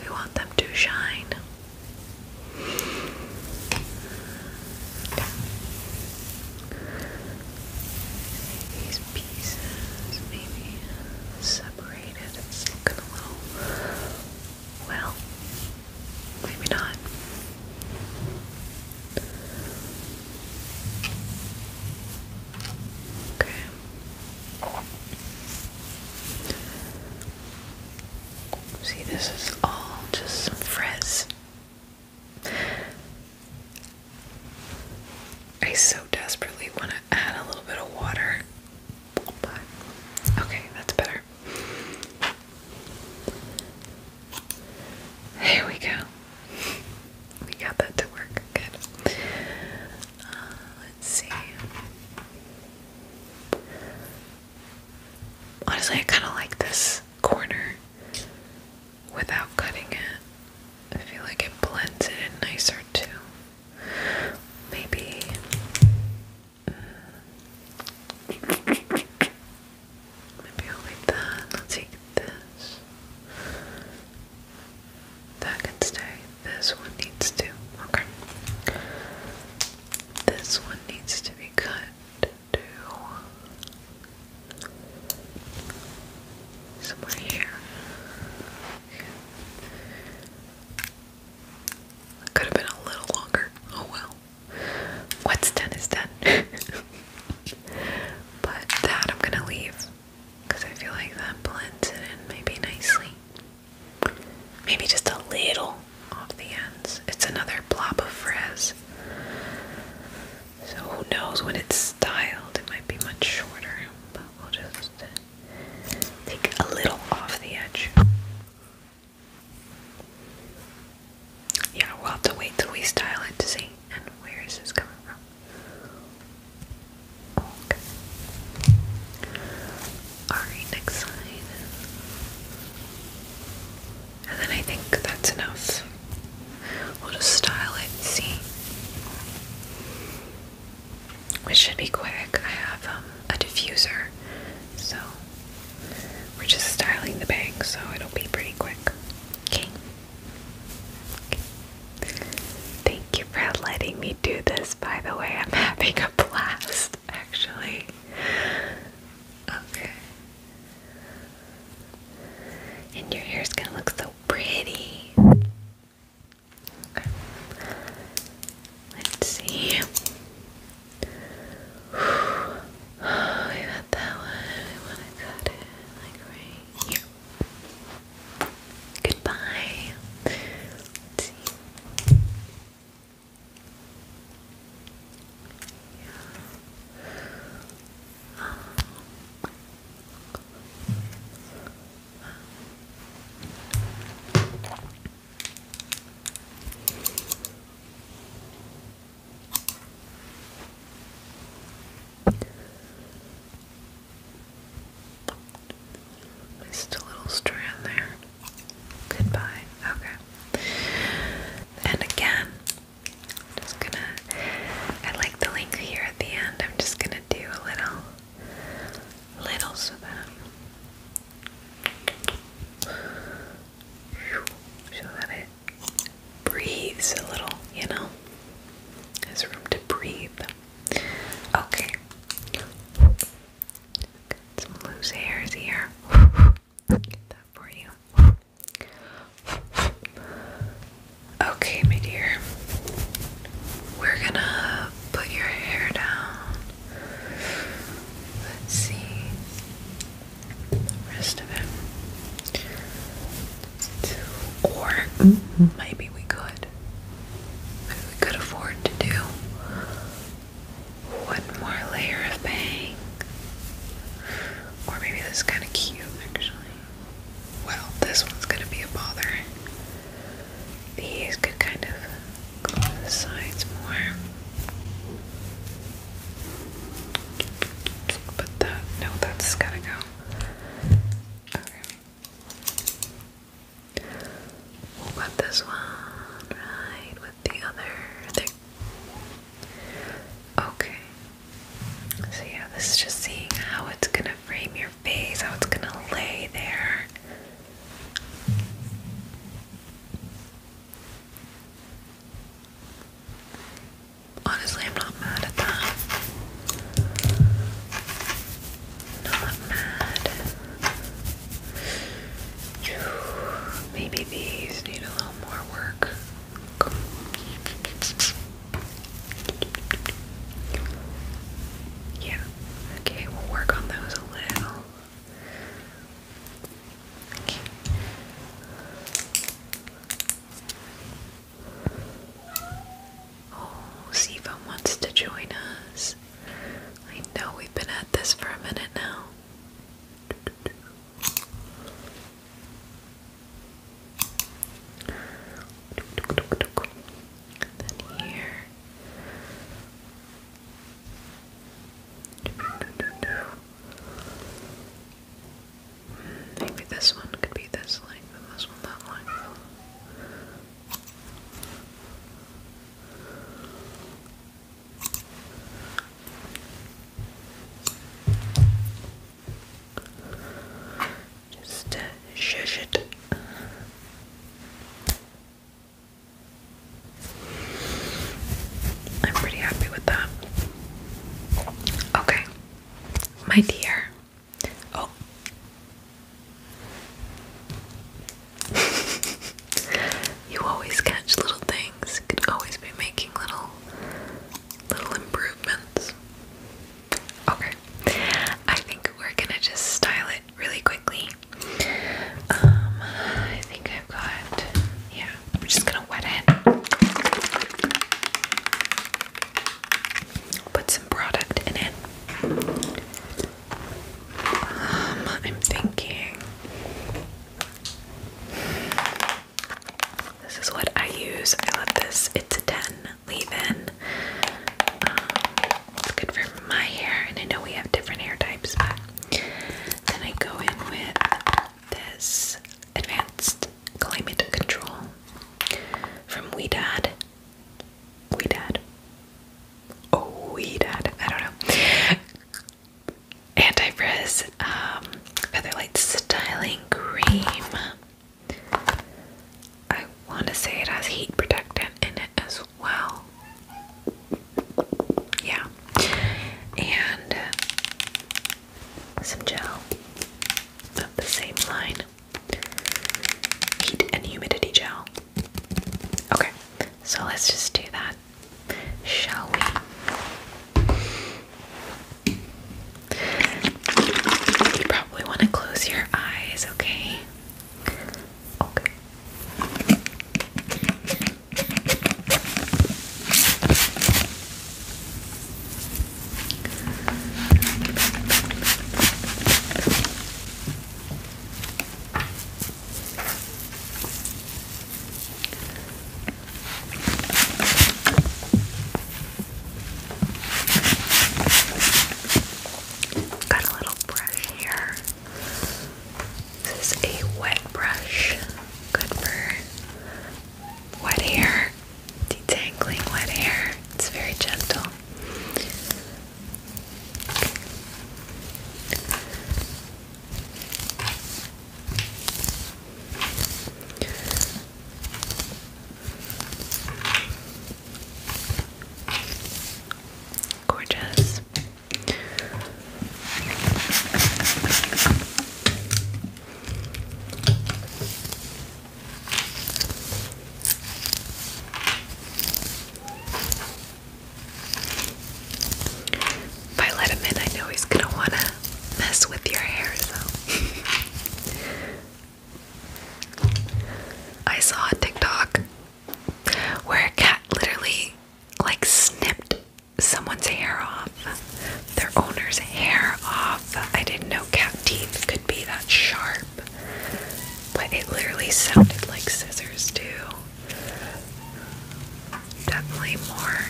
We want them to shine. These pieces maybe separated. It's looking a little well, maybe not. Okay. See, this is all just frizz. I so desperately want to add a little bit of water okay, that's better. Here we go. We got that to work. Good. Uh, let's see. Honestly, I kind of like this corner without cutting it. I feel like it blends it in nicer too. Maybe Maybe i that. I'll take this. That can stay. This one needs to. Okay. This one needs to be cut to somewhere here. Could have been a little longer. Oh well. What's done is done. but that I'm gonna leave because I feel like that blends it in maybe nicely. Maybe just a little off the ends. It's another blob of frizz. So who knows when it's styled? It might be much shorter, but we'll just take a little off the edge. Yeah, we'll have to wait till we style it to see. And where is this coming from? Okay. Alright, next slide. And then I think that's enough. We'll just style it see. Which should be quick. I have um, a diffuser so we're just styling the bag, so it'll be pretty quick. Okay. okay. Thank you for letting me do this, by the way. I'm having a blast, actually. Okay. And your hair's gonna look so pretty. Let's see. Oh, we got that one. I want to cut it like right Goodbye. Yeah. Just a little strand there. Goodbye. Okay. And again, I'm just gonna. I like the link here at the end. I'm just gonna do a little, little so that so that it breathes a little, you know? There's room to breathe. Okay. some loose hairs here. that for you. Okay, my dear. We're gonna put your hair down Let's see the rest of it. Or mm maybe we could. Maybe we could afford to do one more layer of bang. Or maybe this is kinda cute actually. Well, this one's gonna be a bother. These could kind of go to the sides more. But that, no, that's gotta go. Okay. this one right with the other Okay. So, yeah, this is just seeing how it's gonna frame your face, how it's gonna lay there. Honestly, I'm not mad at that. Not mad. Maybe these need a little more work. Yeah. Okay, we'll work on those a little. Okay. Oh, Siva wants to join us. I know we've been at this for a minute now. then here. Maybe this one could be this length and this one that length. Just uh, shush it. I'm pretty happy with that. Okay, my dear. Oh. (laughs) you always catch little things. could always be making little little improvements. Okay. I think we're gonna just style it really quickly um, I think I've got, yeah, I'm just gonna wet it. Put some product in it. Um, I'm thinking this is what I use. I love this. It's a 10 leave-in. Um, it's good for my hair, and I know we have different hair types, but then I go in with this Advanced Climate Control from Weedad. Dad. Oh, Dad. I don't know. Anti-frizz um, Featherlight Styling Cream. I want to say it has heat protectant in it as well. Yeah. And uh, some gel of the same line. Heat and humidity gel. Okay, so let's just do that, shall we? You probably want to close your eyes, okay? Okay. Got a little brush here. This is a wet brush, good for wet hair, detangling wet hair. It's very gentle. Gorgeous. If I let him in, I know he's gonna wanna mess with your hair, so. I saw a TikTok where a cat literally like snipped someone's hair off, their owner's hair off. I didn't know cat teeth could be that sharp, but it literally sounded like scissors, too. Definitely more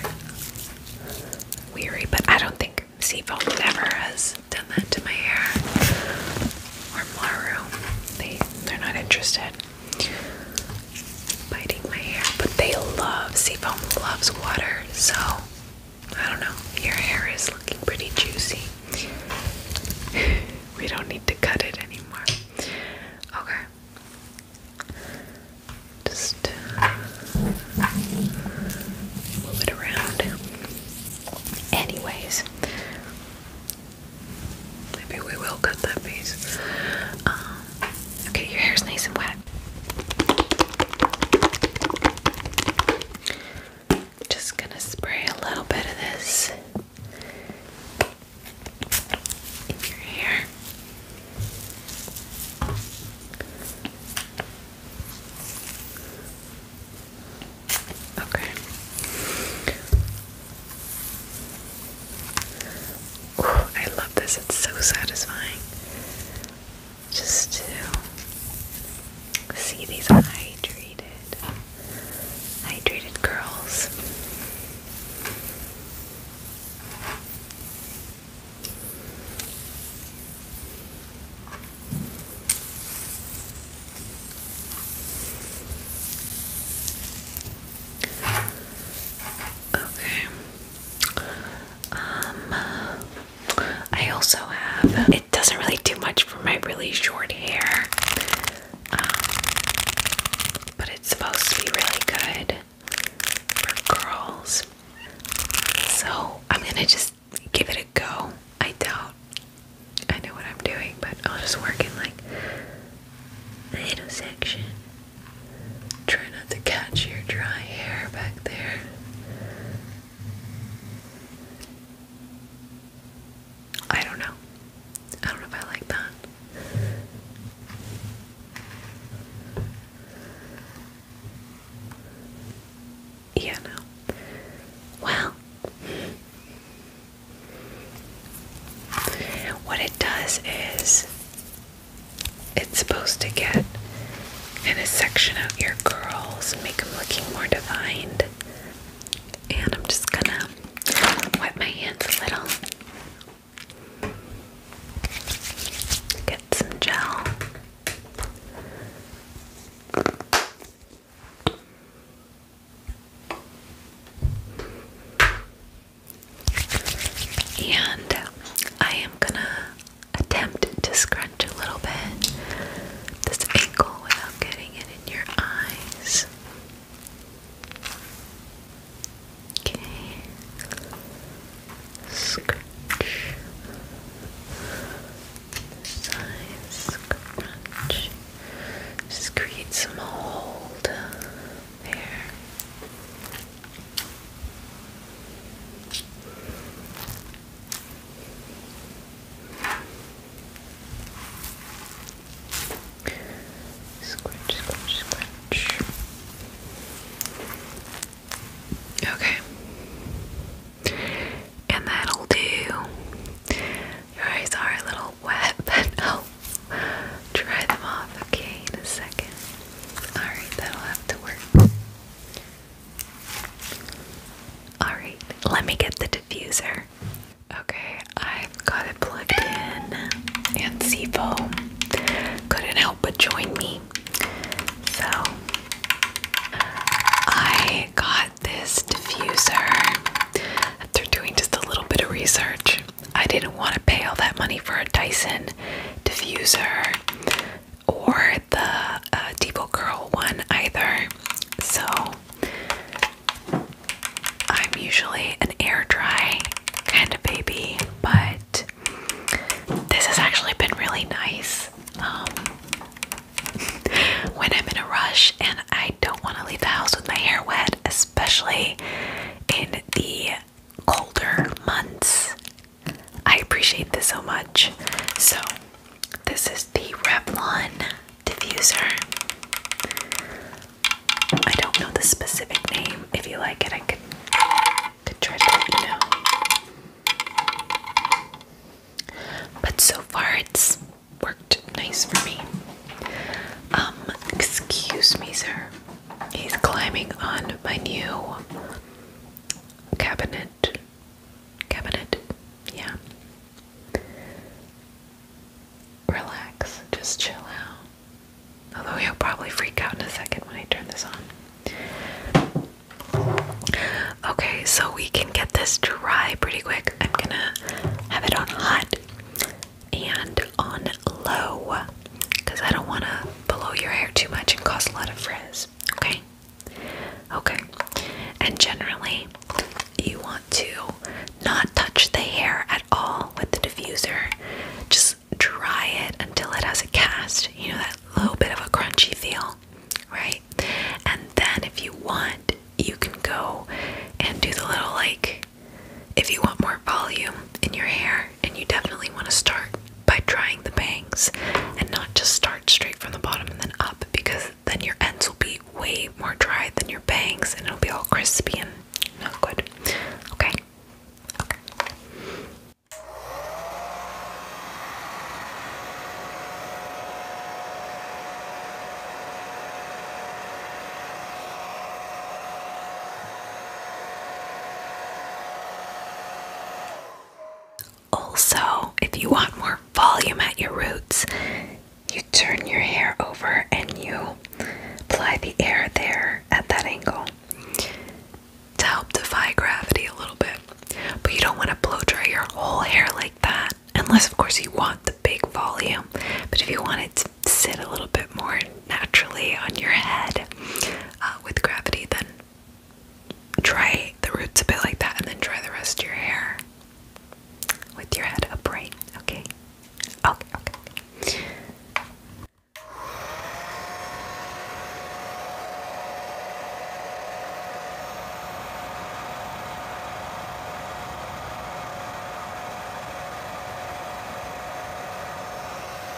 weary, but I don't think Seafoam never has done that to my hair or Maru. They, they're not interested biting my hair, but they love seafoam loves water, so I don't know. Your hair is looking pretty juicy. (laughs) we don't need to cut it anymore. Okay. Just uh, move it around. Anyways, maybe we will cut that piece. Um, Okay, your hair's nice and wet. Just gonna spray a little bit of this in your hair. Okay. I love this. It's so satisfying just to see these hydrated, hydrated girls. Okay. Um, I also have, it doesn't really do much for my really short hair, um, but it's supposed to be really good for curls. So I'm gonna just give it a go. I doubt I know what I'm doing, but I'll just work in like the Try not to catch your dry hair back there. I don't know. I don't know if I like that. Yeah, no. Well, what it does is it's supposed to get kind of section out your curls and make them looking more defined. And I'm just gonna wipe my hands a little. Get some gel. And I am gonna attempt to scrunch a little bit this ankle without getting it in your eyes. Okay. Scratch. Size scratch. Just create some hold there. Scratch, scratch, scratch. Okay. And that'll do. Your eyes are a little wet, (laughs) but Try them off, okay, in a second. Alright, that'll have to work. Alright, let me get the diffuser. Okay, I've got it plugged in and seafoam. Couldn't help but join me. So I got this diffuser after doing just a little bit of research. I didn't want to pay all that money for a Dyson diffuser or the Devo uh, Depot Curl one either. So I'm usually an air dry kind of baby, but this has actually been really nice. Um, (laughs) when I'm in a rush and I don't want to leave the house with my hair wet, especially in the colder months. I appreciate this so much. So, this is the Revlon diffuser. I don't know the specific name. If you like it, I could, try to let you know. But so far, it's worked nice for me. Um, excuse me, sir. He's climbing on my new cabinet. Cabinet, yeah. Relax, just chill out. Although he'll probably freak out in a second when I turn this on. Okay, so we can get this dry pretty quick. I'm gonna have it on hot and on low because I don't want to blow your hair too much and cause a lot of frizz. Okay? Okay. And generally, you want to not touch the hair at all with the diffuser. Just dry it until it has a cast, you know, that little bit of a crunchy feel, right? And then if you want, you can go and do the little like, if you want more volume in your hair, and you definitely want to start by drying the bangs and not just start straight from the bottom and then up because then your ends will be way more dry than your bangs and it'll be all crispy and not good. Okay. Also, if you want more volume at your roots, you turn your hair over and you apply the air there at that angle to help defy gravity a little bit. But you don't want to blow dry your whole hair like that, unless, of course, you want the big volume. But if you want it to sit a little bit more naturally on your head uh, with gravity, then dry the roots a bit like that and then dry the rest of your hair with your head upright, okay? Okay, okay.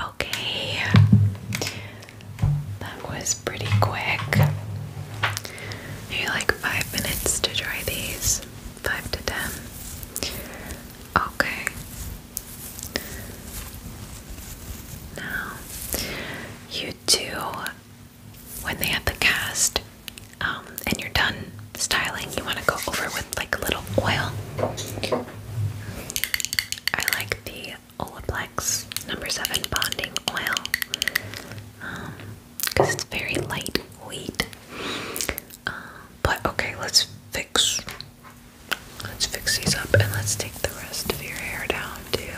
Okay, that was pretty quick. Maybe like five minutes to dry these, five to ten. Okay. Now, you do when they have the cast um, and you're done styling, you want to go over with like a little oil. I like the Olaplex number seven bonding oil. Um, because it's very lightweight. Um, but okay, let's fix. Let's fix these up and let's take the rest of your hair down too.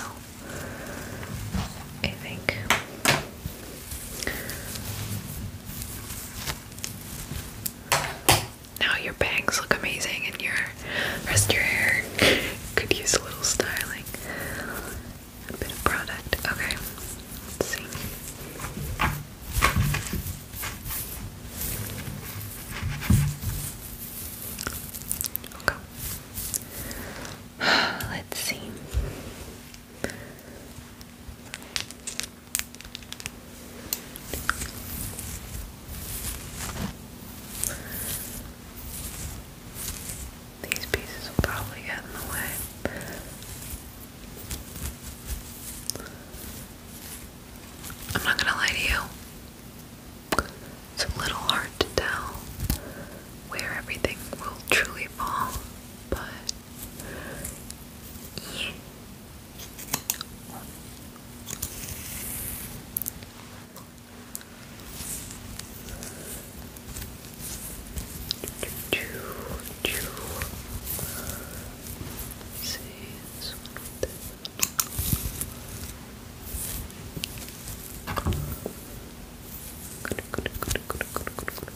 I think. Now your bangs look amazing and your rest of your hair could use a little styling a bit of product. Okay, let's see. Okay. (sighs) Let's see. These pieces will probably get in the way. I'm not gonna lie to you. It's a little hard to tell where everything will truly fall, but yeah. See, this one. Good, good, good, good, good, good, good.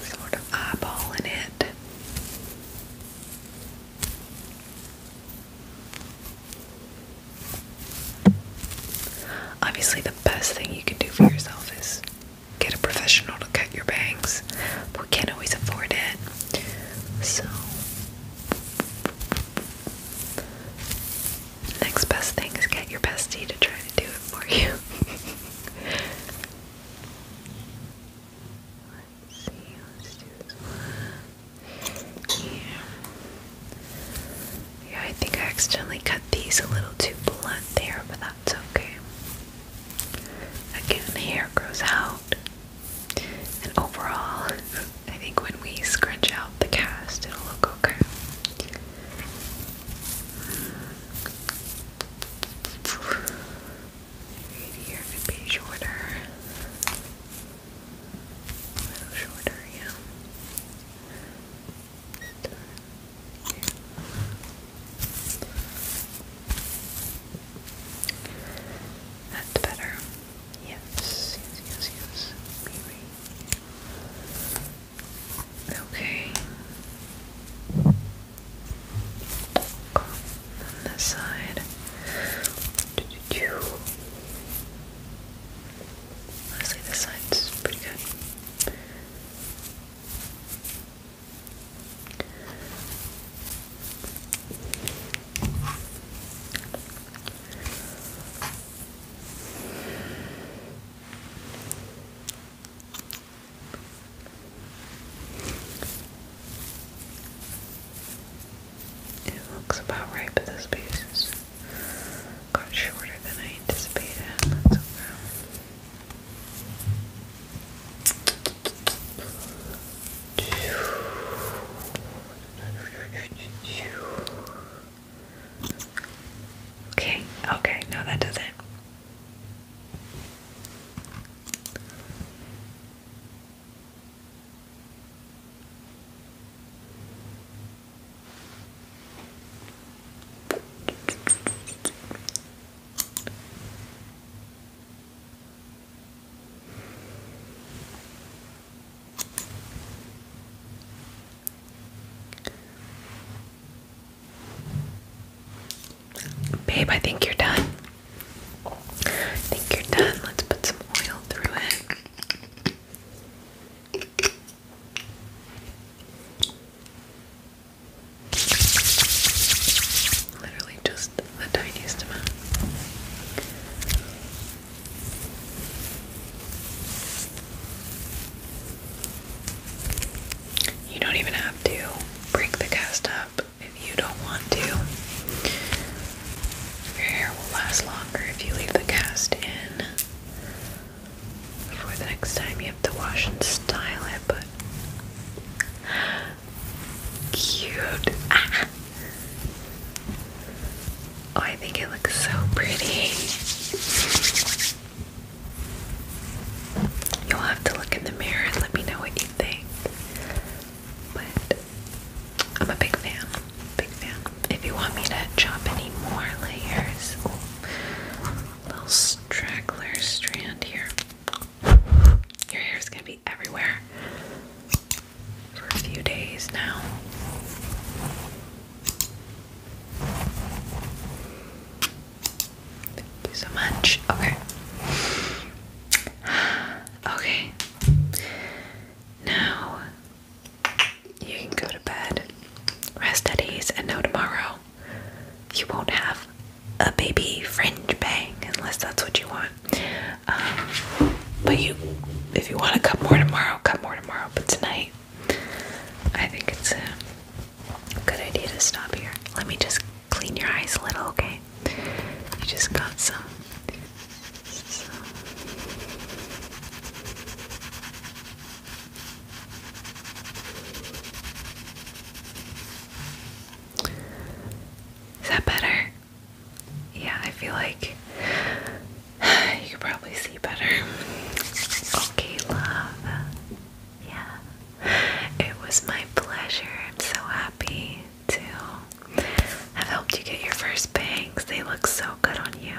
Sort of eyeballing it. Obviously, the best thing you can do for yourself is get a professional to cut your bangs. But we can't always afford it. So, next best thing is get your bestie to try to do it for you. (laughs) Let's do this yeah. Yeah, I think I accidentally cut these a little too blunt there, but that's okay. Again, the hair grows out. And overall, (laughs) I think when we scrunch out the cast, it'll look okay. Right here could be shorter. A little shorter, yeah. That's better. Yes, yes, yes, yes. Maybe. Okay. On this side. Honestly, this side's pretty good. It looks about right, for this piece got shorter than I anticipated. okay. Okay, no, that does it. Babe, I think you're done. I think you're done. Let's put some oil through it. Literally just the tiniest amount. You don't even have to break the cast up if you don't want to. Your hair will last longer if you leave the cast in for the next time you have to wash and style it, but cute. Ah. Oh, I think it looks so pretty. You'll have to look in the mirror and let me know what you think. But I'm a big fan. Big fan. If you want me to chop any more layers, little straggler strand here. Your hair is gonna be everywhere for a few days now. Thank you so much. Okay. (sighs) Okay. Now you can go to bed, rest at ease, and know tomorrow you won't have a baby fringe bang unless that's what you want. Um, but you, if you want to cut more tomorrow, cut more tomorrow. But tonight, I think it's a good idea to stop here. Let me just clean your eyes a little, okay? You just got some is that better? Yeah, I feel like (sighs) you could probably see better. Okay, love. Yeah. It was my pleasure. I'm so happy to have helped you get your first bangs. They look so good on you.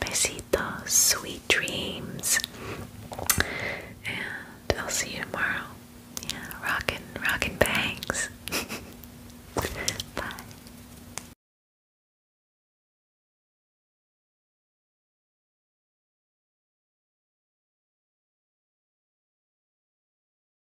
Besitos, sweet dreams. And I'll see you tomorrow. Yeah, rockin', rockin' bangs. (laughs) Bye.